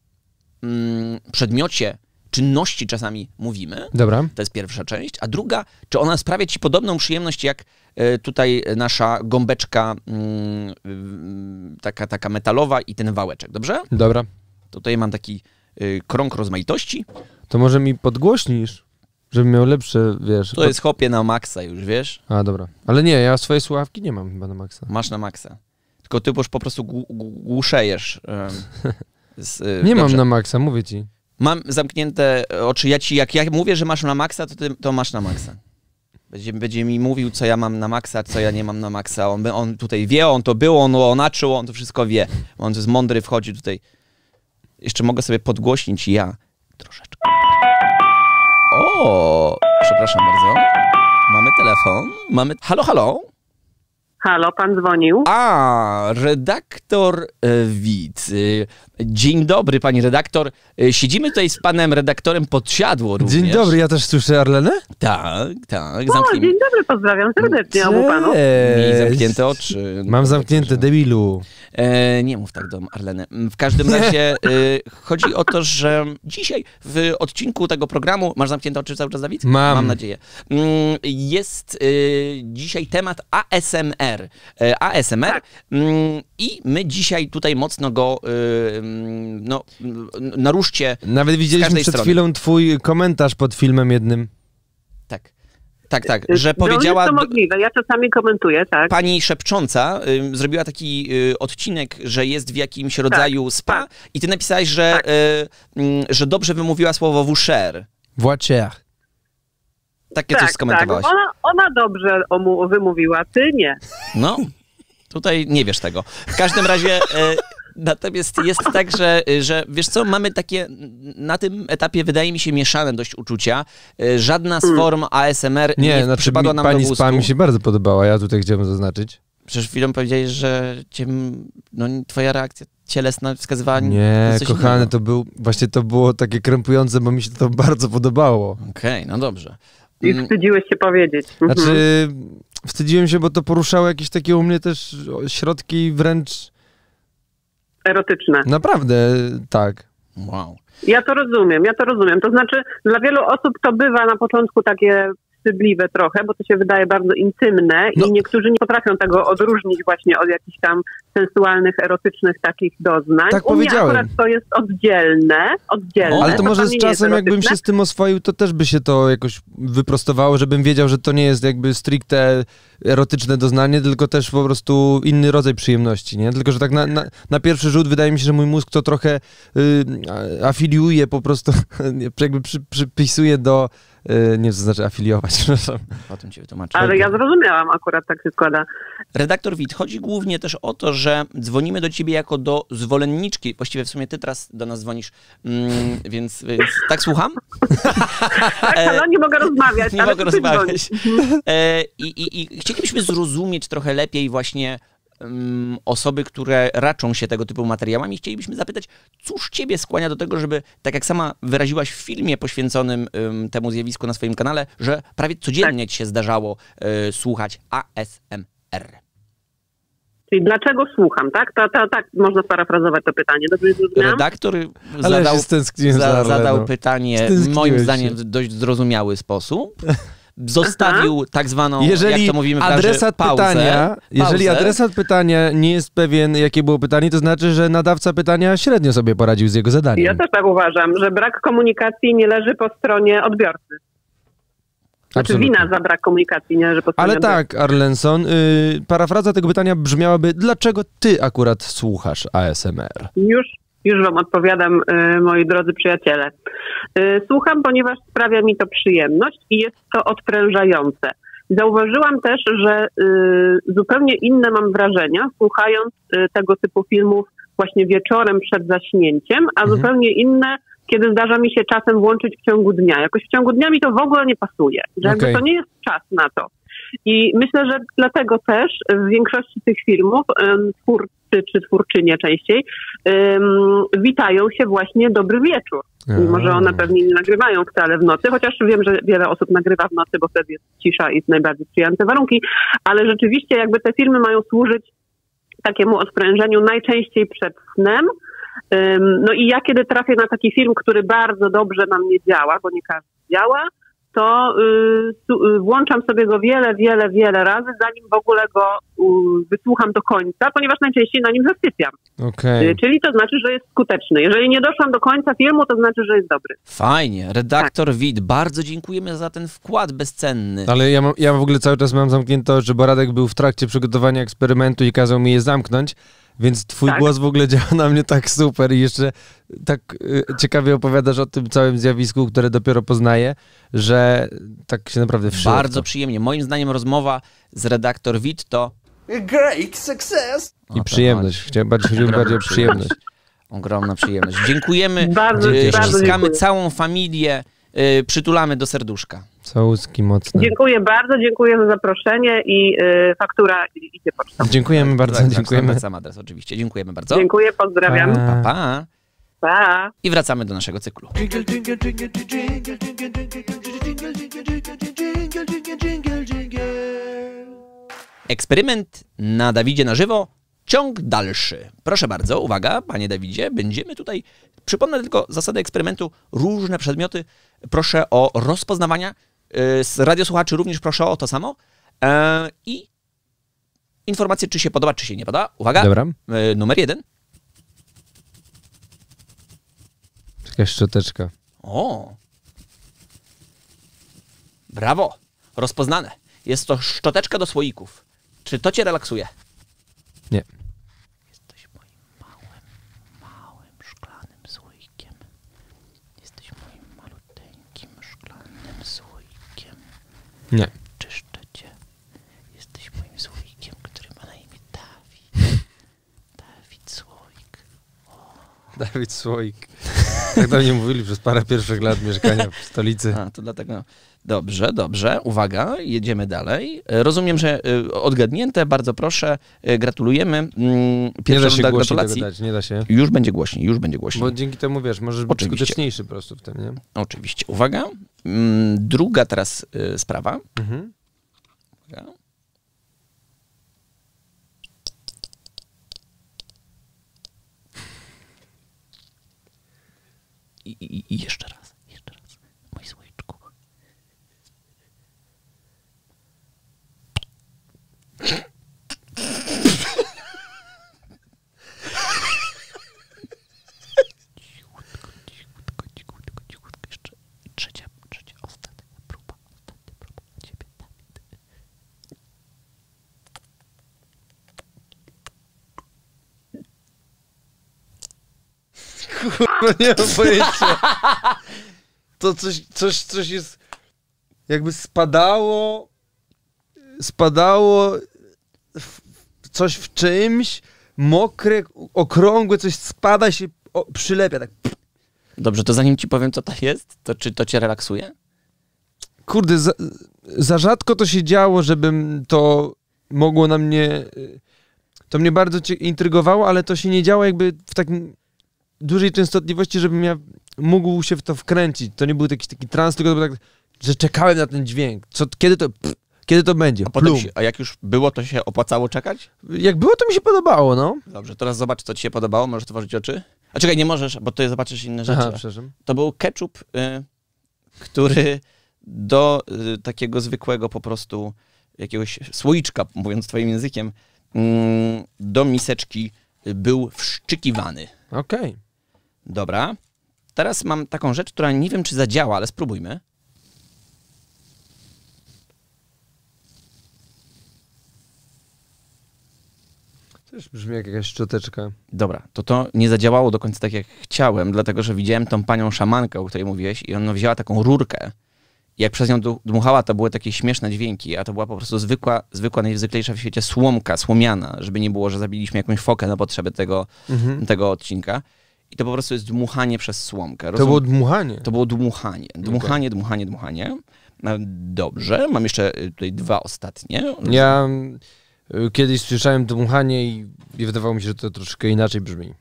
Speaker 2: mm, przedmiocie, czynności czasami mówimy. Dobra. To jest pierwsza część. A druga, czy ona sprawia ci podobną przyjemność jak e, tutaj nasza gąbeczka mm, taka, taka metalowa i ten wałeczek, dobrze? Dobra. Tutaj mam taki e, krąg rozmaitości.
Speaker 1: To może mi podgłośnisz, żebym miał lepsze, wiesz... To jest
Speaker 2: hopie na maksa już, wiesz?
Speaker 1: A, dobra. Ale nie, ja swoje słuchawki
Speaker 2: nie mam chyba na maksa. Masz na maksa. Tylko ty po prostu głuszejesz. *laughs* Z, y, nie mam na
Speaker 1: maksa, mówię ci.
Speaker 2: Mam zamknięte oczy. Ja ci, jak mówię, że masz na maksa, to masz na maksa. Będzie, mi mówił, co ja mam na maksa, co ja nie mam na maksa. On, tutaj wie, on to było, on onaczył, on to wszystko wie. On jest mądry, wchodzi tutaj. Jeszcze mogę sobie podgłośnić ja troszeczkę. O, przepraszam bardzo. Mamy telefon. Mamy. Halo, halo. Halo, pan dzwonił. A, redaktor e, Wit. E, dzień dobry, pani redaktor. E, siedzimy tutaj z panem redaktorem Podsiadło również. Dzień dobry,
Speaker 1: ja też słyszę Arlenę?
Speaker 2: Tak, tak. O, zamknij... dzień
Speaker 1: dobry, pozdrawiam serdecznie Cześć. obu panów. Miej
Speaker 2: zamknięte oczy. Mam zamknięte, debilu. E, nie mów tak do Arleny. W każdym razie e, chodzi o to, że dzisiaj w odcinku tego programu, masz zamknięte oczy cały czas, Dawid? Mam. nadzieję. Mm, jest y, dzisiaj temat ASMR. Y, ASMR tak. mm, i my dzisiaj tutaj mocno go y, mm, no, naruszcie Nawet widzieliśmy przed chwilą
Speaker 1: twój komentarz pod filmem jednym.
Speaker 2: Tak. Tak, tak, że powiedziała. No, jest to możliwe, ja czasami komentuję, tak. Pani szepcząca zrobiła taki odcinek, że jest w jakimś rodzaju tak, spa, tak. i ty napisałeś, że Mm, że dobrze wymówiła słowo voucher. Voucher. Takie coś tak, skomentowałaś. Tak.
Speaker 1: Ona,
Speaker 3: dobrze wymówiła, ty nie.
Speaker 2: No, tutaj nie wiesz tego. W każdym razie... E, natomiast jest tak, że, e, że wiesz co, mamy takie na tym etapie, wydaje mi się, mieszane dość uczucia. E, żadna z mm. form ASMR nie, nie znaczy, przypadła nam pani do gustu. Pani się
Speaker 1: bardzo podobała, ja tutaj chciałem zaznaczyć
Speaker 2: powiedzieć. Przecież chwilą powiedziałeś, że cię, no, twoja reakcja cielesna wskazywała Nie, kochany,
Speaker 1: to był, właśnie to było takie krępujące, bo mi się to bardzo podobało.
Speaker 2: Okej, no dobrze. I mm. wstydziłeś się powiedzieć. Mhm.
Speaker 1: Znaczy, wstydziłem się, bo to poruszało jakieś takie u mnie też środki wręcz...
Speaker 3: Erotyczne. Naprawdę,
Speaker 1: tak. Wow.
Speaker 3: Ja to rozumiem, ja to rozumiem. To znaczy, dla wielu osób to bywa na początku takie wstydliwe trochę, bo to się wydaje bardzo intymne i no. niektórzy nie potrafią tego odróżnić właśnie od jakichś tam sensualnych, erotycznych takich doznań. Tak U powiedziałem. mnie to jest oddzielne, oddzielne. ale to może z czasem jakbym się z
Speaker 1: tym oswoił, to też by się to jakoś wyprostowało, żebym wiedział, że to nie jest jakby stricte erotyczne doznanie, tylko też po prostu inny rodzaj przyjemności, nie? Tylko, że tak na, pierwszy rzut wydaje mi się, że mój mózg to trochę y, afiliuje po prostu, *laughs* jakby przypisuje do Y, nie, to afiliować, *laughs* przepraszam. O tym cię wytłumaczę.
Speaker 2: Ale ja zrozumiałam, akurat tak się składa. Redaktor Wit, chodzi głównie też o to, że dzwonimy do ciebie jako do zwolenniczki. Właściwie w sumie ty teraz do nas dzwonisz, mm, *laughs* więc, tak słucham? tak, *laughs* e, no
Speaker 3: nie mogę rozmawiać.
Speaker 2: nie mogę rozmawiać. E, I, i, I chcielibyśmy zrozumieć trochę lepiej właśnie mm, osoby, które raczą się tego typu materiałami. Chcielibyśmy zapytać, Cóż Ciebie skłania do tego, żeby, tak jak sama wyraziłaś w filmie poświęconym temu zjawisku na swoim kanale, że prawie codziennie tak. Ci się zdarzało y, słuchać ASMR?
Speaker 3: Czyli dlaczego słucham, tak? To, to, tak można sparafrazować to pytanie. Dobrze zrozumiałem? Redaktor zadał,
Speaker 2: za, zadał pytanie, moim zdaniem, w dość zrozumiały sposób *laughs* zostawił Aha. tak zwaną, jak to mówimy adresat pauzę, pytania jeżeli adresat
Speaker 1: pytania nie jest pewien, jakie było pytanie, to znaczy, że nadawca pytania średnio sobie poradził z jego zadaniem. Ja
Speaker 3: też tak uważam, że brak komunikacji nie leży po stronie odbiorcy. A czy wina za brak komunikacji, nie? leży po Że Ale tak,
Speaker 1: Arlenson, y, parafraza tego pytania brzmiałaby, dlaczego ty akurat słuchasz ASMR?
Speaker 3: Już, już wam odpowiadam, y, moi drodzy przyjaciele. Y, słucham, ponieważ sprawia mi to przyjemność i jest to odprężające. Zauważyłam też, że y, zupełnie inne mam wrażenia, słuchając y, tego typu filmów właśnie wieczorem przed zaśnięciem, a mhm. zupełnie inne, kiedy zdarza mi się czasem włączyć w ciągu dnia. Jakoś w ciągu dniami to w ogóle nie pasuje, że okay. to nie jest czas na to. I myślę, że dlatego też w większości tych filmów twórcy czy twórczynie częściej witają się właśnie dobry wieczór wieczór. Mimo, że one pewnie nie nagrywają wcale w nocy, chociaż wiem, że wiele osób nagrywa w nocy, bo wtedy jest cisza i najbardziej przyjazne warunki, ale rzeczywiście jakby te filmy mają służyć takiemu odprężeniu najczęściej przed snem. No i ja kiedy trafię na taki film, który bardzo dobrze na mnie działa, bo nie każdy działa, to y, y, włączam sobie go wiele, wiele, wiele razy, zanim w ogóle go wysłucham do końca, ponieważ najczęściej na nim zasypiam. Y, czyli to znaczy, że jest skuteczny. Jeżeli nie doszłam do końca filmu, to znaczy, że jest dobry.
Speaker 2: Fajnie. Redaktor tak. Wit, bardzo dziękujemy za ten wkład bezcenny. Ale ja, ja w ogóle
Speaker 1: cały czas mam zamknięte że Boradek był w trakcie przygotowania eksperymentu i kazał mi je zamknąć. Więc twój tak. głos w ogóle *laughs* działa na mnie tak super i jeszcze tak y, ciekawie opowiadasz o tym całym zjawisku, które dopiero poznaję, że tak się naprawdę wszyło. Bardzo
Speaker 2: przyjemnie. Moim zdaniem rozmowa z redaktor Witto.
Speaker 1: Great success! I przyjemność.
Speaker 2: Chciałem bardziej, chodziło bardziej o przyjemność. Ogromna przyjemność. Dziękujemy. Bardzo, ściskamy dziękuję. całą familię. przytulamy do serduszka.
Speaker 1: Całuski mocne.
Speaker 2: Dziękuję bardzo, dziękuję za zaproszenie
Speaker 3: i faktura idzie
Speaker 2: pocztą. Dziękujemy bardzo, tak, dziękujemy. Tak, sam adres oczywiście, dziękujemy bardzo. Dziękuję, pozdrawiam. Pa, pa. I wracamy do naszego cyklu. Eksperyment na Dawidzie na żywo, ciąg dalszy. Proszę bardzo, uwaga, panie Dawidzie, będziemy tutaj. Przypomnę tylko zasady eksperymentu, różne przedmioty. Proszę o rozpoznawania. Y, z radiosłuchaczy również proszę o to samo. E, I informację, czy się podoba, czy się nie podoba. Uwaga. Dobra. Y, numer jeden
Speaker 1: czeka szczoteczka.
Speaker 2: O! Brawo! Rozpoznane. Jest to szczoteczka do słoików. Czy to cię relaksuje?
Speaker 1: Nie. Jesteś moim małym, małym szklanym słoikiem.
Speaker 2: Jesteś moim malutkim szklanym słoikiem. Nie. Czyszczę cię. Jesteś moim słoikiem, który ma na imię Dawid. Dawid Słoik. O. Dawid Słoik. Tak do mnie mówili przez parę pierwszych lat mieszkania w stolicy. A, to dlatego. Dobrze, dobrze. Uwaga, jedziemy dalej. Rozumiem, że y, odgadnięte, bardzo proszę. Y, gratulujemy. Pierwsza mm, nie da runda gratulacji. nie da się. Już będzie głośniej, już będzie głośniej. Bo dzięki temu wiesz, może być Oczywiście. skuteczniejszy po prostu w tym, nie? Oczywiście. Uwaga. Mm, druga teraz y, sprawa. Mhm. Uwaga. I, i, i jeszcze raz, jeszcze raz, mój słoiczku. Cichutko,
Speaker 1: cichutko, cichutko, cichutko. Jeszcze trzecia, trzecia, ostatnia próba nie pojęcia. To coś, coś, coś jest... Jakby spadało... Spadało... W, coś w czymś, mokre, okrągłe, coś spada się o, przylepia, tak...
Speaker 2: Dobrze, to zanim ci powiem, co to jest, to czy to cię relaksuje?
Speaker 1: Kurde, za, rzadko to się działo, żebym to mogło na mnie. To mnie bardzo intrygowało, ale to się nie działo jakby w takim dużej częstotliwości, żebym ja mógł się w to wkręcić. To nie był jakiś taki trans, tylko tak, że czekałem na ten dźwięk. kiedy to. kiedy to będzie? A, potem a
Speaker 2: jak już było, to się opłacało czekać?
Speaker 1: Jak było, to mi się podobało, no.
Speaker 2: Dobrze, teraz zobacz, co ci się podobało. Możesz otworzyć oczy. A czekaj, nie możesz, bo to ty zobaczysz inne rzeczy. Aha, przepraszam. To był ketchup, y, który do y, takiego zwykłego po prostu jakiegoś słoiczka, mówiąc twoim językiem, mm, do miseczki był wszczykiwany. Okej. Okay. Dobra. Teraz mam taką rzecz, która nie wiem, czy zadziała, ale spróbujmy.
Speaker 1: Też brzmi jak jakaś szczoteczka.
Speaker 2: Dobra, to to nie zadziałało do końca tak, jak chciałem, dlatego że widziałem tą panią szamankę, o której mówiłeś, i ona wzięła taką rurkę. I jak przez nią dmuchała, to były takie śmieszne dźwięki, a to była po prostu zwykła, zwykła najzwyklejsza w świecie słomka, słomiana, żeby nie było, że zabiliśmy jakąś fokę na potrzeby tego, mhm. tego odcinka. I to po prostu jest dmuchanie przez słomkę. To było dmuchanie? To było dmuchanie dmuchanie. Dmuchanie, dmuchanie, e, Dobrze, mam jeszcze e, tutaj dwa ostatnie. Ja
Speaker 1: e, kiedyś słyszałem dmuchanie i wydawało mi się, że to troszkę
Speaker 2: inaczej brzmi.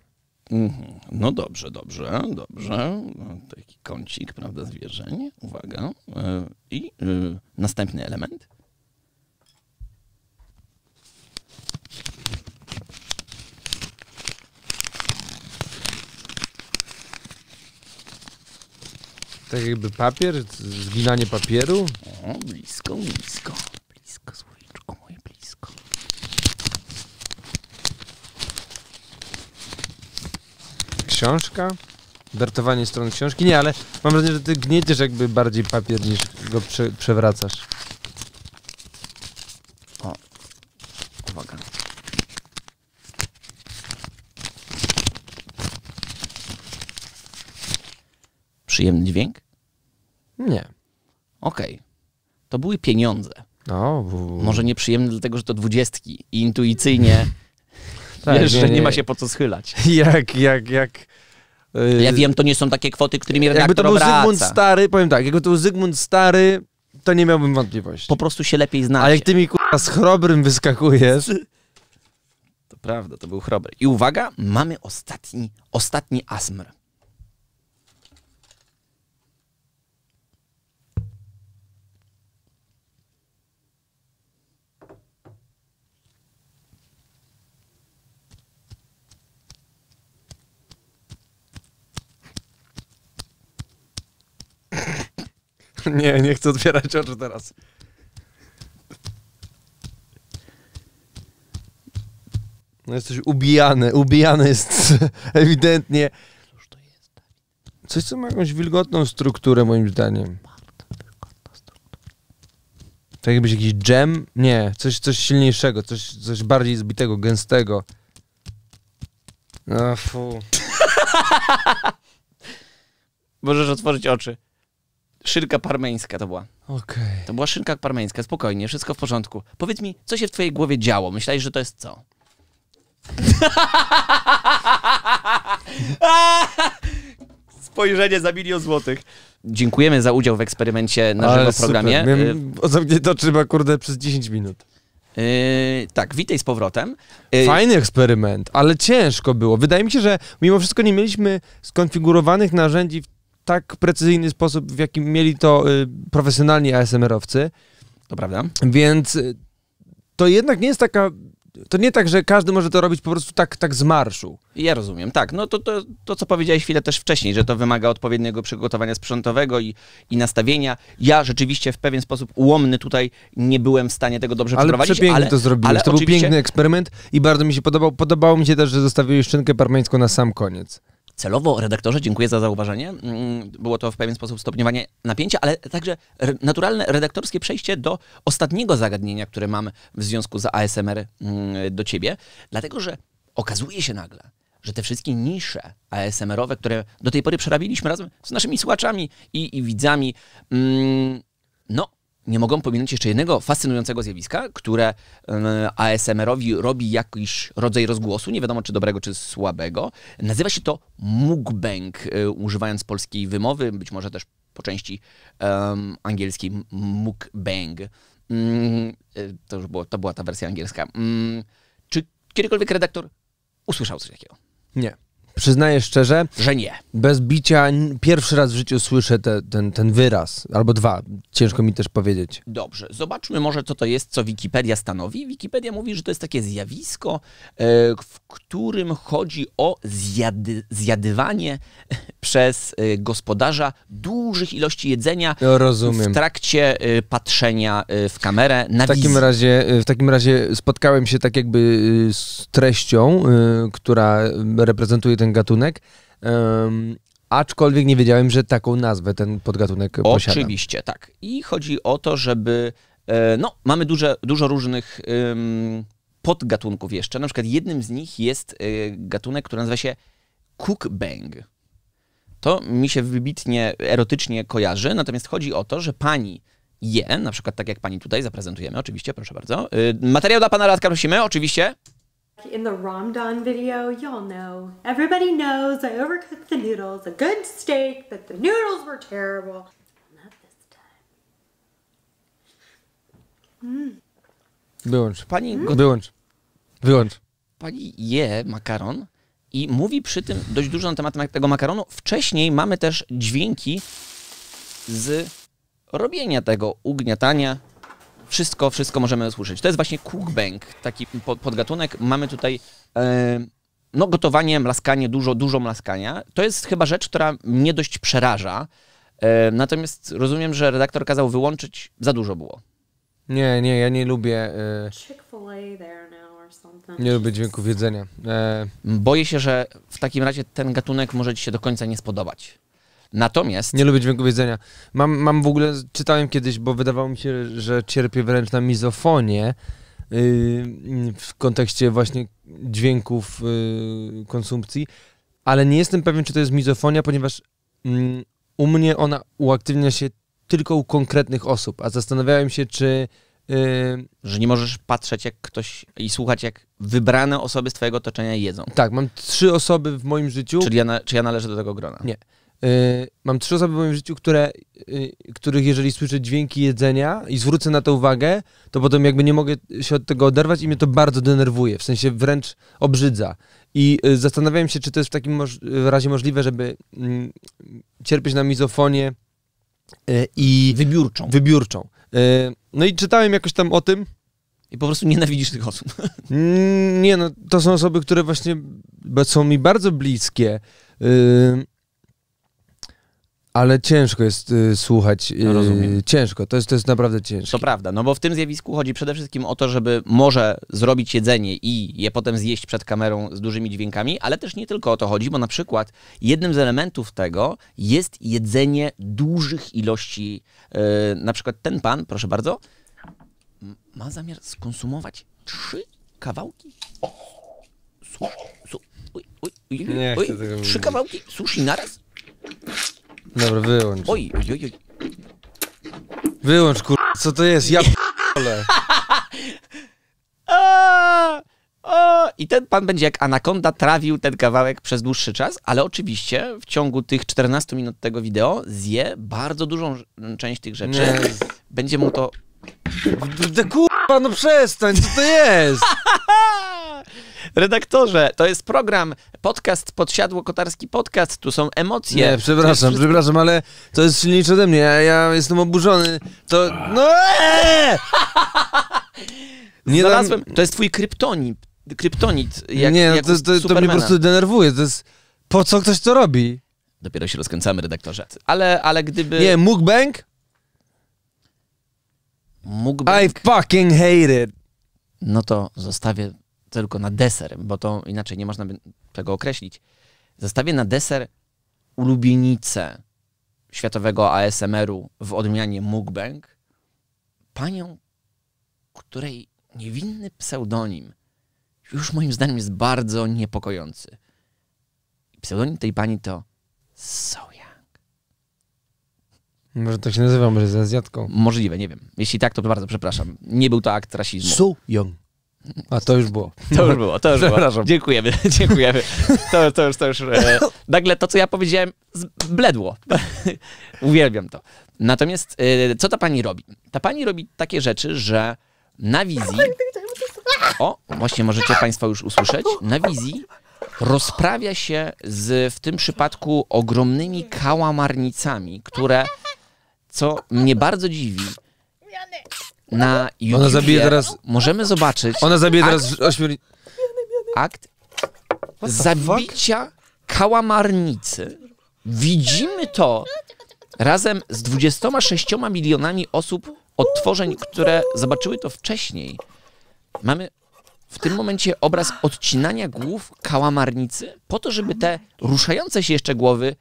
Speaker 2: Mhm. No dobrze, dobrze, dobrze. No, taki kącik, prawda, zwierzeń. Uwaga. I następny element.
Speaker 1: Tak jakby papier? Zginanie papieru? O, blisko, blisko. Blisko, słoiczko moje, blisko. Książka? Dartowanie stron książki? Nie, ale mam wrażenie, że ty gnieciesz jakby bardziej papier niż go przewracasz.
Speaker 2: O, uwaga. Przyjemny dźwięk? Nie. Okej. To były pieniądze. O, bu. Może nieprzyjemne, dlatego że to dwudziestki i intuicyjnie *laughs* tak, wiesz, nie, ma się po co schylać. *laughs* Jak, jak, jak... Ja y, wiem, to nie są takie kwoty, którymi redaktor Jakby to Zygmunt
Speaker 1: Stary, powiem tak, jakby to był Zygmunt Stary to nie miałbym wątpliwości. Po prostu się lepiej znacie. Ale jak ty mi kurwa z chrobrym wyskakujesz...
Speaker 2: To prawda, to był chrobry. I uwaga, mamy ostatni, ostatni asmr.
Speaker 1: *laughs* Nie, nie chcę otwierać oczu teraz. No jesteś ubijane, ubijane jest *laughs* ewidentnie. Coś, co ma jakąś wilgotną strukturę, moim zdaniem. To tak jakbyś jakiś dżem? Nie, coś, coś silniejszego, coś, coś bardziej zbitego, gęstego.
Speaker 2: No fu. *laughs* Możesz otworzyć oczy. Szynka parmeńska to była. Ok. To była szynka parmeńska, spokojnie, wszystko w porządku. Powiedz mi, co się w twojej głowie działo? Myślałeś, że to jest co? *laughs* Spojrzenie za milion złotych. Dziękujemy za udział w eksperymencie na żywo Ale w programie. Super. Miałem
Speaker 1: y, mnie oczy chyba, kurde, przez 10 minut. Yy, tak, witaj z powrotem. Yy, Fajny
Speaker 2: eksperyment,
Speaker 1: ale ciężko było. Wydaje mi się, że mimo wszystko nie mieliśmy skonfigurowanych narzędzi w tak precyzyjny sposób, w jakim mieli to y, profesjonalni ASMR-owcy. To prawda. Więc y, to jednak nie jest taka to nie tak, że każdy może to robić po prostu tak, tak z marszu.
Speaker 2: Ja rozumiem, tak. No to, to, co powiedziałeś chwilę też wcześniej, że to wymaga odpowiedniego przygotowania sprzętowego i, i, nastawienia. Ja rzeczywiście w pewien sposób ułomny tutaj nie byłem w stanie tego dobrze ale przeprowadzić. Ale to zrobiłeś. to był piękny
Speaker 1: eksperyment i bardzo mi się podobał. Podobało mi się też, że zostawiłeś szczynkę parmeńską na sam koniec
Speaker 2: celowo, redaktorze, dziękuję za zauważenie. Mm, było to w pewien sposób stopniowanie napięcia, ale także naturalne redaktorskie przejście do ostatniego zagadnienia, które mam w związku z ASMR mm, do ciebie, dlatego że okazuje się nagle, że te wszystkie nisze, ASMR-owe, które do tej pory przerabiliśmy razem z naszymi słuchaczami i, widzami. Mm, no, nie mogą pominąć jeszcze jednego fascynującego zjawiska, które mm, ASMR-owi robi jakiś rodzaj rozgłosu, nie wiadomo czy dobrego, czy słabego. Nazywa się to mukbang, y, używając polskiej wymowy, być może też po części angielskiej mukbang. Mm, y, to już była ta wersja angielska. czy kiedykolwiek redaktor usłyszał coś takiego.
Speaker 1: Nie. Przyznaję szczerze, że nie. Bez bicia pierwszy raz w życiu słyszę ten, wyraz, albo dwa. Ciężko mi też powiedzieć.
Speaker 2: Dobrze, zobaczmy może, co to jest, co Wikipedia stanowi. Wikipedia mówi, że to jest takie zjawisko, e, w którym chodzi o zjady, zjadywanie *laughs* przez e, gospodarza dużych ilości jedzenia w trakcie e, patrzenia w kamerę, w takim razie
Speaker 1: W takim razie spotkałem się tak jakby y, z treścią, y, która reprezentuje ten gatunek. aczkolwiek nie wiedziałem, że taką nazwę ten podgatunek posiada. Oczywiście, tak.
Speaker 2: I chodzi o to, żeby... E, no, mamy duże, dużo różnych podgatunków jeszcze. Na przykład jednym z nich jest e, gatunek, który nazywa się cookbang. To mi się wybitnie erotycznie kojarzy, natomiast chodzi o to, że pani je, na przykład tak jak pani tutaj zaprezentujemy, oczywiście, proszę bardzo. Y, materiał dla pana Radka prosimy, oczywiście.
Speaker 3: In the Ramdan video, y'all know, everybody knows I overcooked the noodles, a good steak, but the noodles were terrible. Not this time. Mm.
Speaker 2: Wyłącz. Pani Wyłącz. Wyłącz. Pani je makaron, i mówi przy tym dość dużo na temat tego makaronu. Wcześniej mamy też dźwięki z robienia tego ugniatania. Wszystko, wszystko możemy usłyszeć. To jest właśnie cookbang, taki podgatunek. Mamy tutaj e, no, gotowanie, mlaskanie, dużo, dużo mlaskania. To jest chyba rzecz, która mnie dość przeraża. E, natomiast rozumiem, że redaktor kazał wyłączyć, za dużo było.
Speaker 1: Nie, nie, ja nie
Speaker 2: lubię. Y... Nie lubię dźwięków wiedzenia. E, Boję się, że w takim razie ten gatunek może ci się do końca nie spodobać. Natomiast... Nie lubię dźwięku wiedzenia. Mam, mam w ogóle,
Speaker 1: czytałem kiedyś, bo wydawało mi się, że cierpię wręcz na mizofonię y, w kontekście właśnie dźwięków y, konsumpcji, ale nie jestem pewien, czy to jest mizofonia, ponieważ mm, u mnie ona
Speaker 2: uaktywnia się tylko u konkretnych osób, a zastanawiałem się, czy y, że nie możesz patrzeć jak ktoś i słuchać jak wybrane osoby z twojego otoczenia jedzą. Tak, mam trzy osoby w moim życiu. Czyli ja czy ja należę do tego grona?
Speaker 1: Nie. Y, mam trzy osoby w moim życiu, które, y, których jeżeli słyszę dźwięki jedzenia i zwrócę na to uwagę, to potem jakby nie mogę się od tego oderwać i mnie to bardzo denerwuje, w sensie wręcz obrzydza. I yy, zastanawiałem się, czy to jest w takim moż razie możliwe, żeby mm, cierpieć na mizofonię E, I wybiórczą. E, no i czytałem jakoś tam o tym.
Speaker 2: I po prostu nienawidzisz tych osób. *laughs*
Speaker 1: Mm, nie, no to są osoby, które właśnie są mi bardzo bliskie. Y, ale ciężko jest y, słuchać. Y, no, ciężko, to jest, to jest naprawdę ciężko.
Speaker 2: To prawda, no bo w tym zjawisku chodzi przede wszystkim o to, żeby może zrobić jedzenie i je potem zjeść przed kamerą z dużymi dźwiękami, ale też nie tylko o to chodzi, bo na przykład Jednym z elementów tego jest jedzenie dużych ilości. E, na przykład ten pan, proszę bardzo, ma zamiar skonsumować trzy kawałki sushi. Su, uj, uj, uj, uj, trzy kawałki sushi naraz?
Speaker 1: Dobra, wyłącz. Oj,
Speaker 2: oj, oj. Wyłącz, kur... Co to jest? Ja p***ole. *laughs* I ten pan będzie jak anakonda trawił ten kawałek przez dłuższy czas, ale oczywiście w ciągu tych 14 minut tego wideo zje bardzo dużą część tych rzeczy. Będzie mu to... Kurwa, panu no przestań, co to jest? *laughs* Redaktorze, to jest program, podcast, podsiadło kotarski podcast, tu są emocje. Nie, przepraszam,
Speaker 1: przepraszam, ale to jest silniejsze ode mnie, ja jestem oburzony. To. No! Eee!
Speaker 2: Nie Znalazłem. To jest twój kryptonit. Kryptonit. Jak, nie, no to, to, to mnie po prostu denerwuje. To jest. Po co ktoś to robi? Dopiero się rozkręcamy, redaktorze. Ale, ale gdyby. Nie, mukbang? Mukbang. I fucking hate it. No to zostawię tylko na deser, bo to inaczej nie można tego określić. Zostawię na deser ulubienicę światowego ASMR-u w odmianie mukbang, panią, której niewinny pseudonim już moim zdaniem jest bardzo niepokojący. Pseudonim tej pani to So Young Może to tak się nazywa, może jest Azjatką. Możliwe, nie wiem. Jeśli tak, to bardzo przepraszam. Nie był to akt rasizmu. So Young. A to już było. To już było, to już było. Dziękujemy, *laughs* dziękujemy to, to już, to już. E, nagle to, co ja powiedziałem, bledło. *laughs* Uwielbiam to. Natomiast e, co ta pani robi? Ta pani robi takie rzeczy, że na wizji. O, właśnie możecie Państwo już usłyszeć. Na wizji rozprawia się z w tym przypadku ogromnymi kałamarnicami, które, co mnie bardzo dziwi, na YouTube. Ona zabije teraz... Możemy zobaczyć... Ona zabije teraz ośmiornicę. Akt zabicia fuck? kałamarnicy. Widzimy to razem z 26 milionami osób, odtworzeń, które zobaczyły to wcześniej. Mamy w tym momencie obraz odcinania głów kałamarnicy po to, żeby te ruszające się jeszcze głowy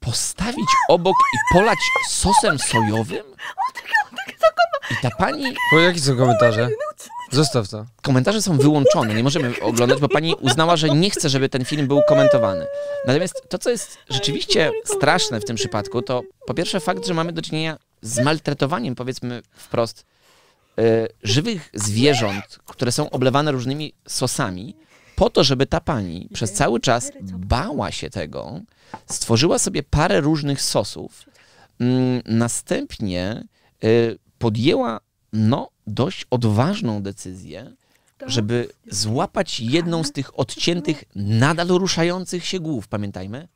Speaker 2: postawić obok i polać sosem sojowym? O tym. Tak, tak, I ta pani... Bo jakie są komentarze? No, no, Zostaw to. Komentarze są wyłączone, nie możemy oglądać, bo pani uznała, że nie chce, żeby ten film był komentowany. Natomiast to, co jest rzeczywiście straszne w tym przypadku, to po pierwsze fakt, że mamy do czynienia z maltretowaniem, powiedzmy wprost, e, żywych zwierząt, które są oblewane różnymi sosami, po to, żeby ta pani przez cały czas bała się tego, stworzyła sobie parę różnych sosów, mm, następnie y, podjęła no, dość odważną decyzję, tak? żeby złapać jedną z tych odciętych, nadal ruszających się głów, pamiętajmy.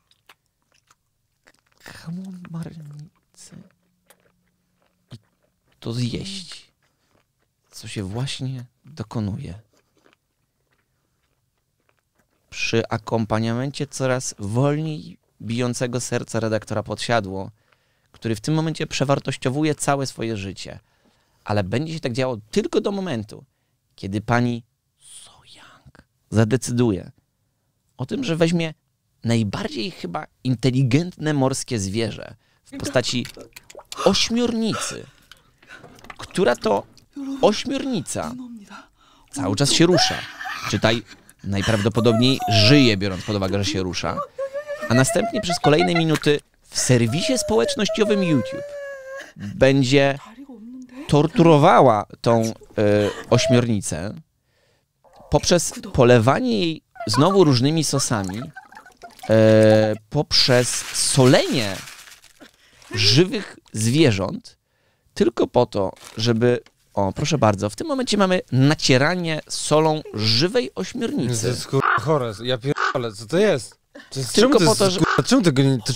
Speaker 2: Kałamarnicy. I to zjeść, co się właśnie dokonuje przy akompaniamencie coraz wolniej bijącego serca redaktora podsiadło, który w tym momencie przewartościowuje całe swoje życie. Ale będzie się tak działo tylko do momentu, kiedy pani Sojang zadecyduje o tym, że weźmie najbardziej chyba inteligentne morskie zwierzę w postaci tak. ośmiornicy, która to ośmiornica cały czas się rusza. Czytaj, najprawdopodobniej żyje, biorąc pod uwagę, że się rusza. A następnie przez kolejne minuty w serwisie społecznościowym YouTube będzie torturowała tą e, ośmiornicę poprzez polewanie jej znowu różnymi sosami, e, poprzez solenie żywych zwierząt tylko po to, żeby. O, proszę bardzo, w tym momencie mamy nacieranie solą żywej ośmiornicy. To chore, ja pierdolę, co to jest? To czemu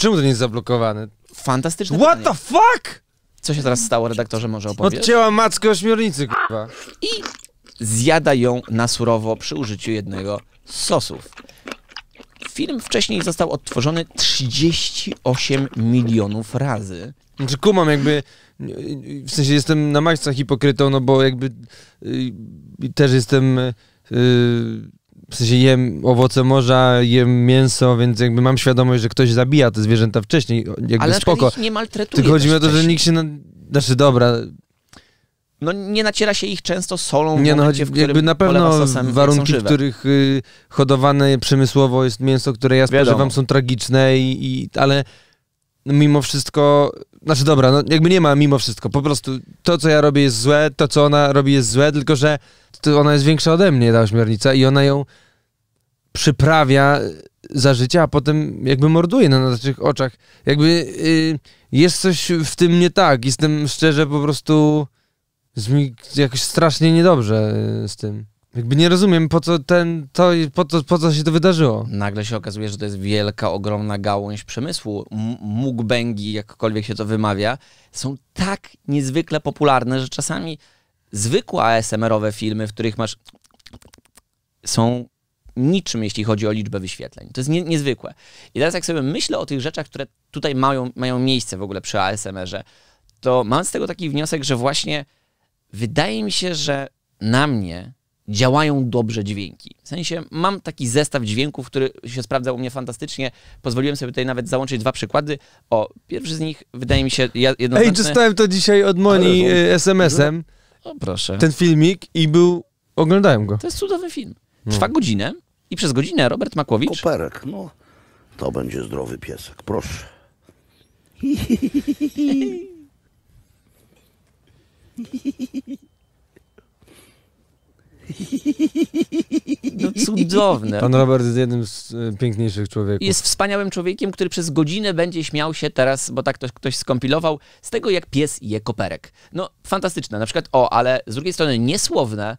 Speaker 2: to, nie jest zablokowane? Fantastycznie. What the
Speaker 1: fuck?
Speaker 2: Co się teraz stało, redaktorze, może opowiedzieć? Odcięła mackę ośmiornicy, kurwa. I zjada ją na surowo przy użyciu jednego z sosów. Film wcześniej został odtworzony 38 milionów razy. Znaczy
Speaker 1: kumam jakby, w sensie jestem na maksa hipokrytą, no bo jakby y, też jestem... Y, w sensie jem owoce morza, jem mięso, więc jakby mam świadomość, że ktoś zabija te zwierzęta wcześniej, jakby Ale spoko. Ale nie maltretuje. Tylko chodzi mi o to, że nikt się, na... znaczy dobra...
Speaker 2: No nie naciera się ich często solą, nie, no, chodzi w jakby na pewno warunki, w
Speaker 1: których y, hodowane przemysłowo jest mięso, które ja spożywam, wam są tragiczne, i, ale mimo wszystko, znaczy dobra, no jakby nie ma mimo wszystko, po prostu to, co ja robię jest złe, to, co ona robi jest złe, tylko że ona jest większa ode mnie, ta ośmiornica i ona ją przyprawia za życia, a potem jakby morduje na naszych oczach. Jakby y, jest coś w tym nie tak. Jestem szczerze po prostu jest mi jakoś strasznie niedobrze y, z tym. Jakby nie rozumiem, po co, ten, to, po, to, po co się to wydarzyło.
Speaker 2: Nagle się okazuje, że to jest wielka, ogromna gałąź przemysłu. Mukbangi, jakkolwiek się to wymawia, są tak niezwykle popularne, że czasami zwykłe ASMR-owe filmy, w których masz... są niczym, jeśli chodzi o liczbę wyświetleń. To jest niezwykłe. I teraz jak sobie myślę o tych rzeczach, które tutaj mają, mają miejsce w ogóle przy ASMR-ze, to mam z tego taki wniosek, że właśnie wydaje mi się, że na mnie działają dobrze dźwięki. W sensie mam taki zestaw dźwięków, który się sprawdza u mnie fantastycznie. Pozwoliłem sobie tutaj nawet załączyć dwa przykłady. O, pierwszy z nich wydaje mi się jednoznaczny. Ej, dostałem to dzisiaj od Moni e, SMS-em. O, proszę. Ten filmik i był... Oglądałem go. To jest cudowny film. No. Trwa godzinę. I przez godzinę Robert Makłowicz... Koperek, no. To będzie zdrowy piesek, proszę. No cudowne. Pan
Speaker 1: Robert jest jednym z e, piękniejszych człowieków. Jest
Speaker 2: wspaniałym człowiekiem, który przez godzinę będzie śmiał się teraz, bo tak ktoś, ktoś skompilował, z tego jak pies je koperek. No fantastyczne, na przykład o, ale z drugiej strony niesłowne,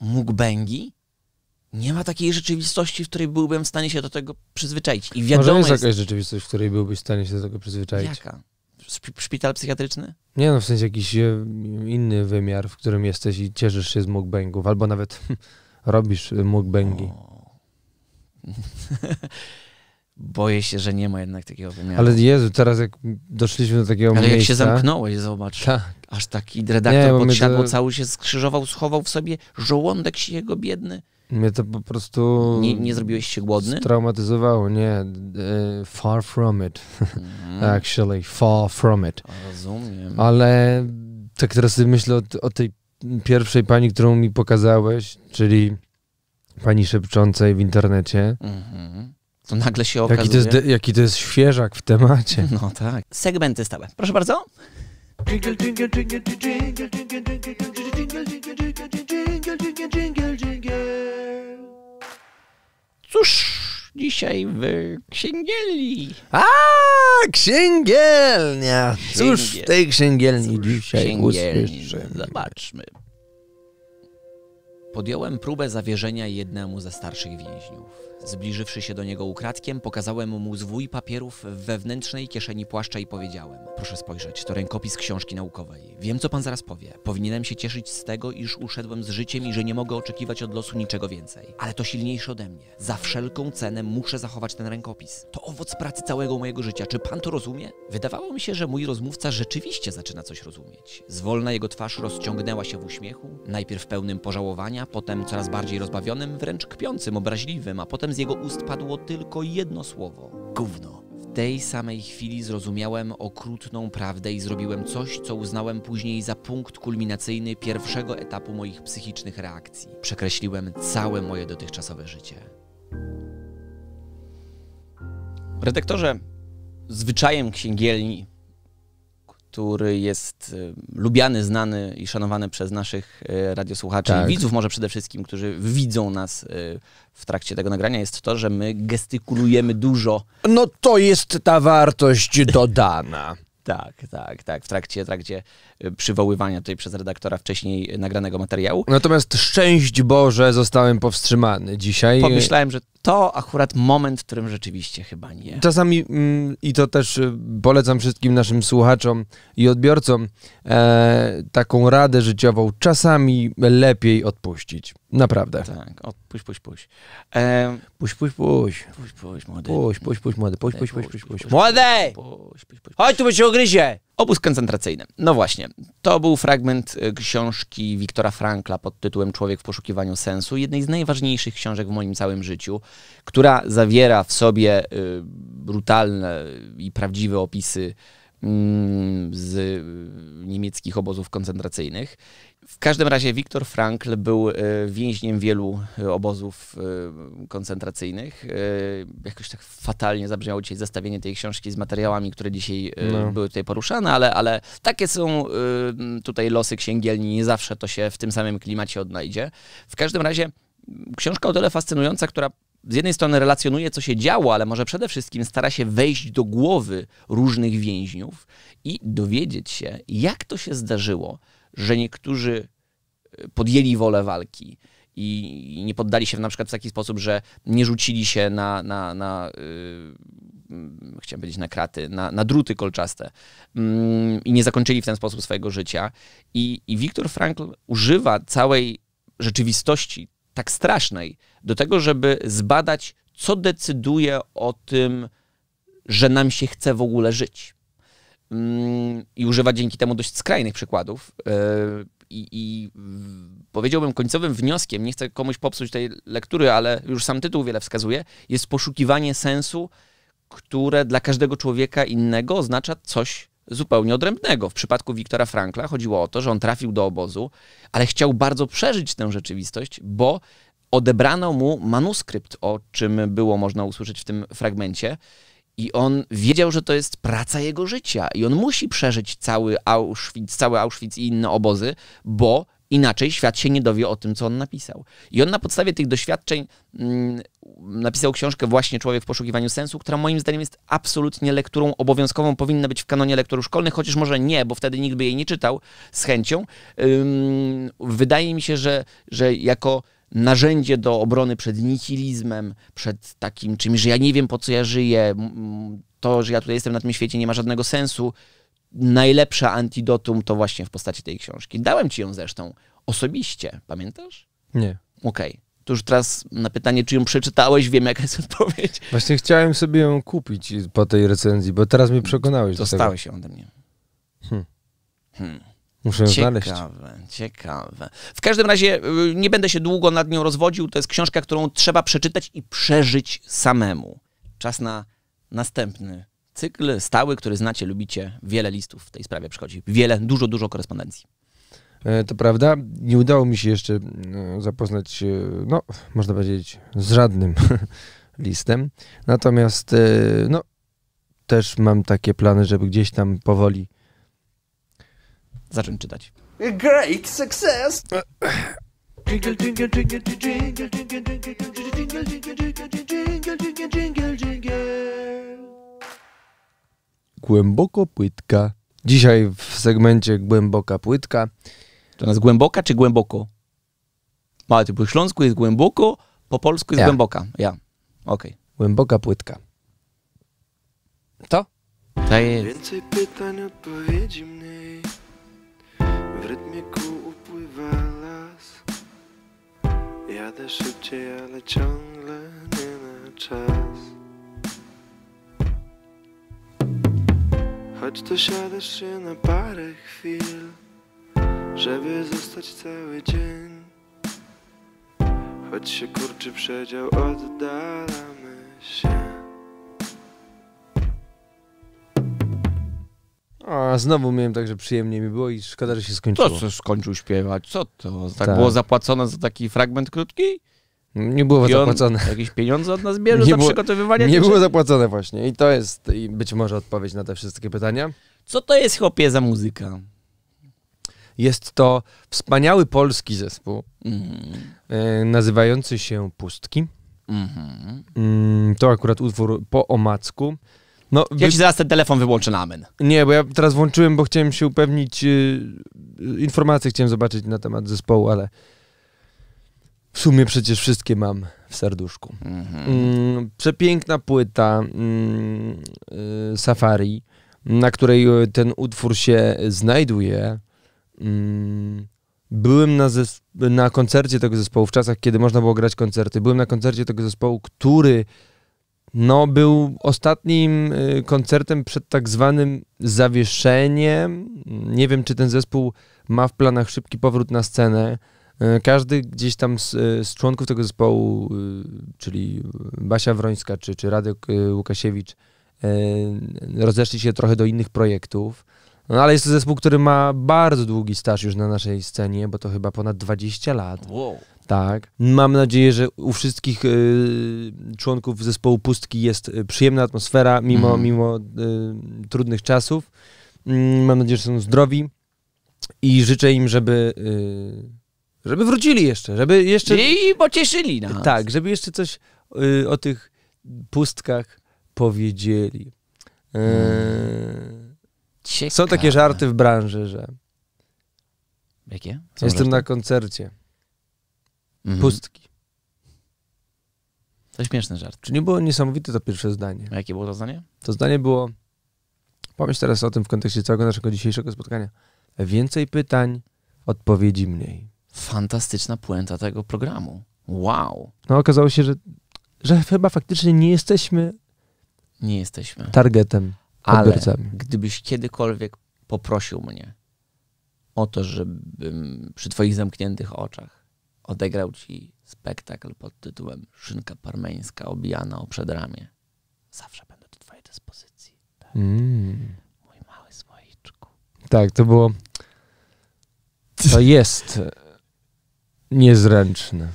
Speaker 2: mukbangi, nie ma takiej rzeczywistości, w której byłbym w stanie się do tego przyzwyczaić. I wiadomo Może jest, jest jakaś rzeczywistość, w której
Speaker 1: byłbyś w stanie się do tego przyzwyczaić. Jaka?
Speaker 2: Szpital psychiatryczny?
Speaker 1: Nie, no w sensie jakiś e, inny wymiar, w którym jesteś i cieszysz się z mukbangów, albo nawet *laughs* robisz e, mukbangi. *laughs*
Speaker 2: Boję się, że nie ma jednak takiego wymiaru. Ale Jezu,
Speaker 1: teraz jak doszliśmy do takiego Ale miejsca... Ale jak się zamknąłeś,
Speaker 2: zobacz. Tak. Tak, aż taki redaktor nie, podsiadło to... się skrzyżował, schował w sobie żołądek się jego biedny.
Speaker 1: Mnie to po prostu. Nie, zrobiłeś się głodny? Traumatyzowało, nie. E, far from it. Mhm. *laughs* Actually, far from it. Ale tak teraz myślę o, o tej pierwszej pani, którą mi pokazałeś, czyli pani szepczącej w internecie.
Speaker 2: Mhm to nagle się okazuje... Jaki
Speaker 1: to jest, świeżak
Speaker 2: w temacie. *laughs* No tak. Segmenty stałe. Proszę bardzo. Cóż, dzisiaj w księgielni. A,
Speaker 1: księgielnia! Cóż w tej księgielni dzisiaj księgielni.
Speaker 2: Zobaczmy. Podjąłem próbę zawierzenia jednemu ze starszych więźniów. Zbliżywszy się do niego ukradkiem, pokazałem mu zwój papierów w wewnętrznej kieszeni płaszcza i powiedziałem: Proszę spojrzeć, to rękopis książki naukowej. Wiem, co pan zaraz powie. Powinienem się cieszyć z tego, iż uszedłem z życiem i że nie mogę oczekiwać od losu niczego więcej. Ale to silniejsze ode mnie. Za wszelką cenę muszę zachować ten rękopis. To owoc pracy całego mojego życia. Czy pan to rozumie? Wydawało mi się, że mój rozmówca rzeczywiście zaczyna coś rozumieć. Zwolna jego twarz rozciągnęła się w uśmiechu, najpierw pełnym pożałowania, potem coraz bardziej rozbawionym, wręcz kpiącym, obraźliwym, a potem z jego ust padło tylko jedno słowo: gówno. W tej samej chwili zrozumiałem okrutną prawdę i zrobiłem coś, co uznałem później za punkt kulminacyjny pierwszego etapu moich psychicznych reakcji. Przekreśliłem całe moje dotychczasowe życie. Redaktorze, zwyczajem księgielni który jest y, lubiany, znany i szanowany przez naszych y, radiosłuchaczy i tak. widzów, może przede wszystkim, którzy widzą nas y, w trakcie tego nagrania, jest to, że my gestykulujemy dużo. No to jest ta wartość dodana. *laughs* Tak, tak, tak. W trakcie, trakcie przywoływania tutaj przez redaktora wcześniej nagranego materiału.
Speaker 1: Natomiast szczęść Boże zostałem powstrzymany dzisiaj. Pomyślałem,
Speaker 2: to akurat moment, w którym rzeczywiście chyba nie. Czasami mm,
Speaker 1: i to też y, polecam wszystkim naszym słuchaczom i odbiorcom e, taką radę życiową. Czasami lepiej odpuścić. Naprawdę.
Speaker 2: Tak, odpuść, puść, puść. E, puść, puść, puść. Puść, puść, młody. Puść, puść, puść, młody. Puść, puść, puść, puść, puść. Młody! Chodź tu, bo się ogryzie! Obóz koncentracyjny. No właśnie, to był fragment y, książki Wiktora Frankla pod tytułem Człowiek w poszukiwaniu sensu, jednej z najważniejszych książek w moim całym życiu, która zawiera w sobie y, brutalne i prawdziwe opisy mm, z y, niemieckich obozów koncentracyjnych. W każdym razie Viktor Frankl był y, więźniem wielu obozów koncentracyjnych. Jakoś tak fatalnie zabrzmiało dzisiaj zestawienie tej książki z materiałami, które dzisiaj no. były tutaj poruszane, ale takie są tutaj losy księgielni, nie zawsze to się w tym samym klimacie odnajdzie. W każdym razie mm, książka o tyle fascynująca, która z jednej strony relacjonuje, co się działo, ale może przede wszystkim stara się wejść do głowy różnych więźniów i dowiedzieć się, jak to się zdarzyło, że niektórzy y, podjęli wolę walki, i nie poddali się na przykład w taki sposób, że nie rzucili się na, na, na y, mm, chciałem powiedzieć na kraty, na, na druty kolczaste, Mm, i nie zakończyli w ten sposób swojego życia. I, i Viktor Frankl używa całej rzeczywistości tak strasznej do tego, żeby zbadać, co decyduje o tym, że nam się chce w ogóle żyć. Mm, I używa dzięki temu dość skrajnych przykładów. Yy, i, powiedziałbym końcowym wnioskiem, nie chcę komuś popsuć tej lektury, ale już sam tytuł wiele wskazuje, jest poszukiwanie sensu które dla każdego człowieka innego oznacza coś zupełnie odrębnego. W przypadku Wiktora Frankla chodziło o to, że on trafił do obozu, ale chciał bardzo przeżyć tę rzeczywistość, bo odebrano mu manuskrypt, o czym było można usłyszeć w tym fragmencie. I on wiedział, że to jest praca jego życia i on musi przeżyć cały Auschwitz, cały Auschwitz i inne obozy, bo Inaczej świat się nie dowie o tym, co on napisał. I on na podstawie tych doświadczeń mm, napisał książkę właśnie Człowiek w poszukiwaniu sensu, która moim zdaniem jest absolutnie lekturą obowiązkową, powinna być w kanonie lektorów szkolnych, chociaż może nie, bo wtedy nikt by jej nie czytał z chęcią. wydaje mi się, że, że jako narzędzie do obrony przed nihilizmem, przed takim czymś, że ja nie wiem po co ja żyję, to, że ja tutaj jestem na tym świecie nie ma żadnego sensu, najlepsze antidotum to właśnie w postaci tej książki. Dałem ci ją zresztą osobiście, pamiętasz? Nie. Okej. Okay. To już teraz na pytanie, czy ją przeczytałeś, wiem jaka jest odpowiedź.
Speaker 1: Właśnie chciałem sobie ją kupić po tej recenzji, bo teraz mnie przekonałeś. Dostałeś
Speaker 2: się ode mnie. Hmm.
Speaker 1: Muszę ją ciekawe, znaleźć.
Speaker 2: Ciekawe, ciekawe. W każdym razie y, nie będę się długo nad nią rozwodził. To jest książka, którą trzeba przeczytać i przeżyć samemu. Czas na następny cykl stały, który znacie, lubicie. Wiele listów w tej sprawie przychodzi. Wiele, dużo, dużo korespondencji.
Speaker 1: To prawda, nie udało mi się jeszcze zapoznać się, no, można powiedzieć, z żadnym listem. Natomiast, no, też mam takie plany, żeby gdzieś tam powoli
Speaker 2: zacząć czytać.
Speaker 1: Great success! Jingle, Głęboko płytka. Dzisiaj w segmencie głęboka płytka.
Speaker 2: To nas głęboka czy głęboko? Ale po śląsku jest głęboko, po polsku jest głęboka. Ja. Okej.
Speaker 1: Głęboka płytka.
Speaker 2: To? To jest.
Speaker 1: Więcej pytań, odpowiedzi mniej. W rytmie kół upływa Jadę szybciej, ale ciągle nie na czas Choć to siadasz się na parę chwil Żeby zostać cały dzień Choć się kurczy przedział, oddalamy się a znowu miałem także przyjemnie mi było i szkoda, że się skończyło. To co
Speaker 2: skończył śpiewać? Co to? Tak, tak. było zapłacone za taki fragment krótki? Nie było zapłacone. Jakieś pieniądze od nas bierze nie za było, przygotowywanie? Nie było zapłacone właśnie i to jest i być
Speaker 1: może odpowiedź na te wszystkie pytania. Co to jest Chopie za muzyka? Jest to wspaniały polski zespół mhm. e, nazywający się Pustki. Mhm. Mm, to akurat utwór po omacku. No, ja wy... ci zaraz
Speaker 2: ten telefon wyłączę namen.
Speaker 1: Nie, bo ja teraz włączyłem, bo chciałem się upewnić, yy, informacje chciałem zobaczyć na temat zespołu, ale w sumie przecież wszystkie mam w serduszku. Mhm. Mm, przepiękna płyta mm, y, Safari, na której y, ten utwór się znajduje. Mm, byłem na, na koncercie tego zespołu w czasach, kiedy można było grać koncerty. Byłem na koncercie tego zespołu który no, był ostatnim y, koncertem przed tak zwanym zawieszeniem. Nie wiem, czy ten zespół ma w planach szybki powrót na scenę. Y, każdy gdzieś tam z, y, członków tego zespołu, czyli Basia Wrońska czy, czy Radek Łukasiewicz, rozeszli się trochę do innych projektów. No ale jest to zespół, który ma bardzo długi staż już na naszej scenie, bo to chyba ponad 20 lat. Tak. Mam nadzieję, że u wszystkich y, członków zespołu Pustki jest y, przyjemna atmosfera, mimo, mhm. mimo y, trudnych czasów. Mm, mam nadzieję, że są zdrowi i życzę im, żeby żeby wrócili jeszcze, żeby jeszcze... I
Speaker 2: pocieszyli nas.
Speaker 1: Tak, żeby jeszcze coś o tych pustkach powiedzieli. Yy, są takie żarty w branży, że. Jakie? Jestem na koncercie.
Speaker 2: Mhm. Pustki. To śmieszny żart.
Speaker 1: Czy nie było niesamowite to pierwsze zdanie? A jakie było to zdanie? To zdanie było. Pomyśl teraz o tym w kontekście całego naszego dzisiejszego spotkania. Więcej pytań,
Speaker 2: odpowiedzi mniej. Fantastyczna puenta tego programu. Wow. No
Speaker 1: okazało się, że chyba faktycznie nie jesteśmy
Speaker 2: nie jesteśmy. Targetem, odbiorcami. Ale gdybyś kiedykolwiek poprosił mnie o to, żebym przy twoich zamkniętych oczach odegrał ci spektakl pod tytułem Szynka parmeńska obijana o przedramię, zawsze będę do twojej dyspozycji.
Speaker 1: Tak? Mm. Mój mały słoiczku. Tak, to było... To jest e, niezręczne.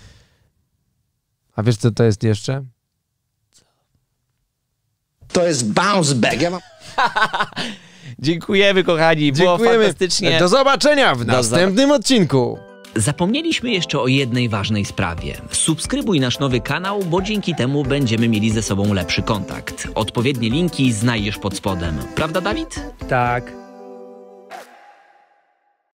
Speaker 1: A wiesz, co to jest jeszcze?
Speaker 2: To jest bounce back. Tak, ja mam... *laughs* Dziękujemy, kochani. Było fantastycznie. Do zobaczenia w następnym odcinku. Zapomnieliśmy jeszcze o jednej ważnej sprawie. Subskrybuj nasz nowy kanał, bo dzięki temu będziemy mieli ze sobą lepszy kontakt. Odpowiednie linki znajdziesz pod spodem. Prawda, Dawid? Tak.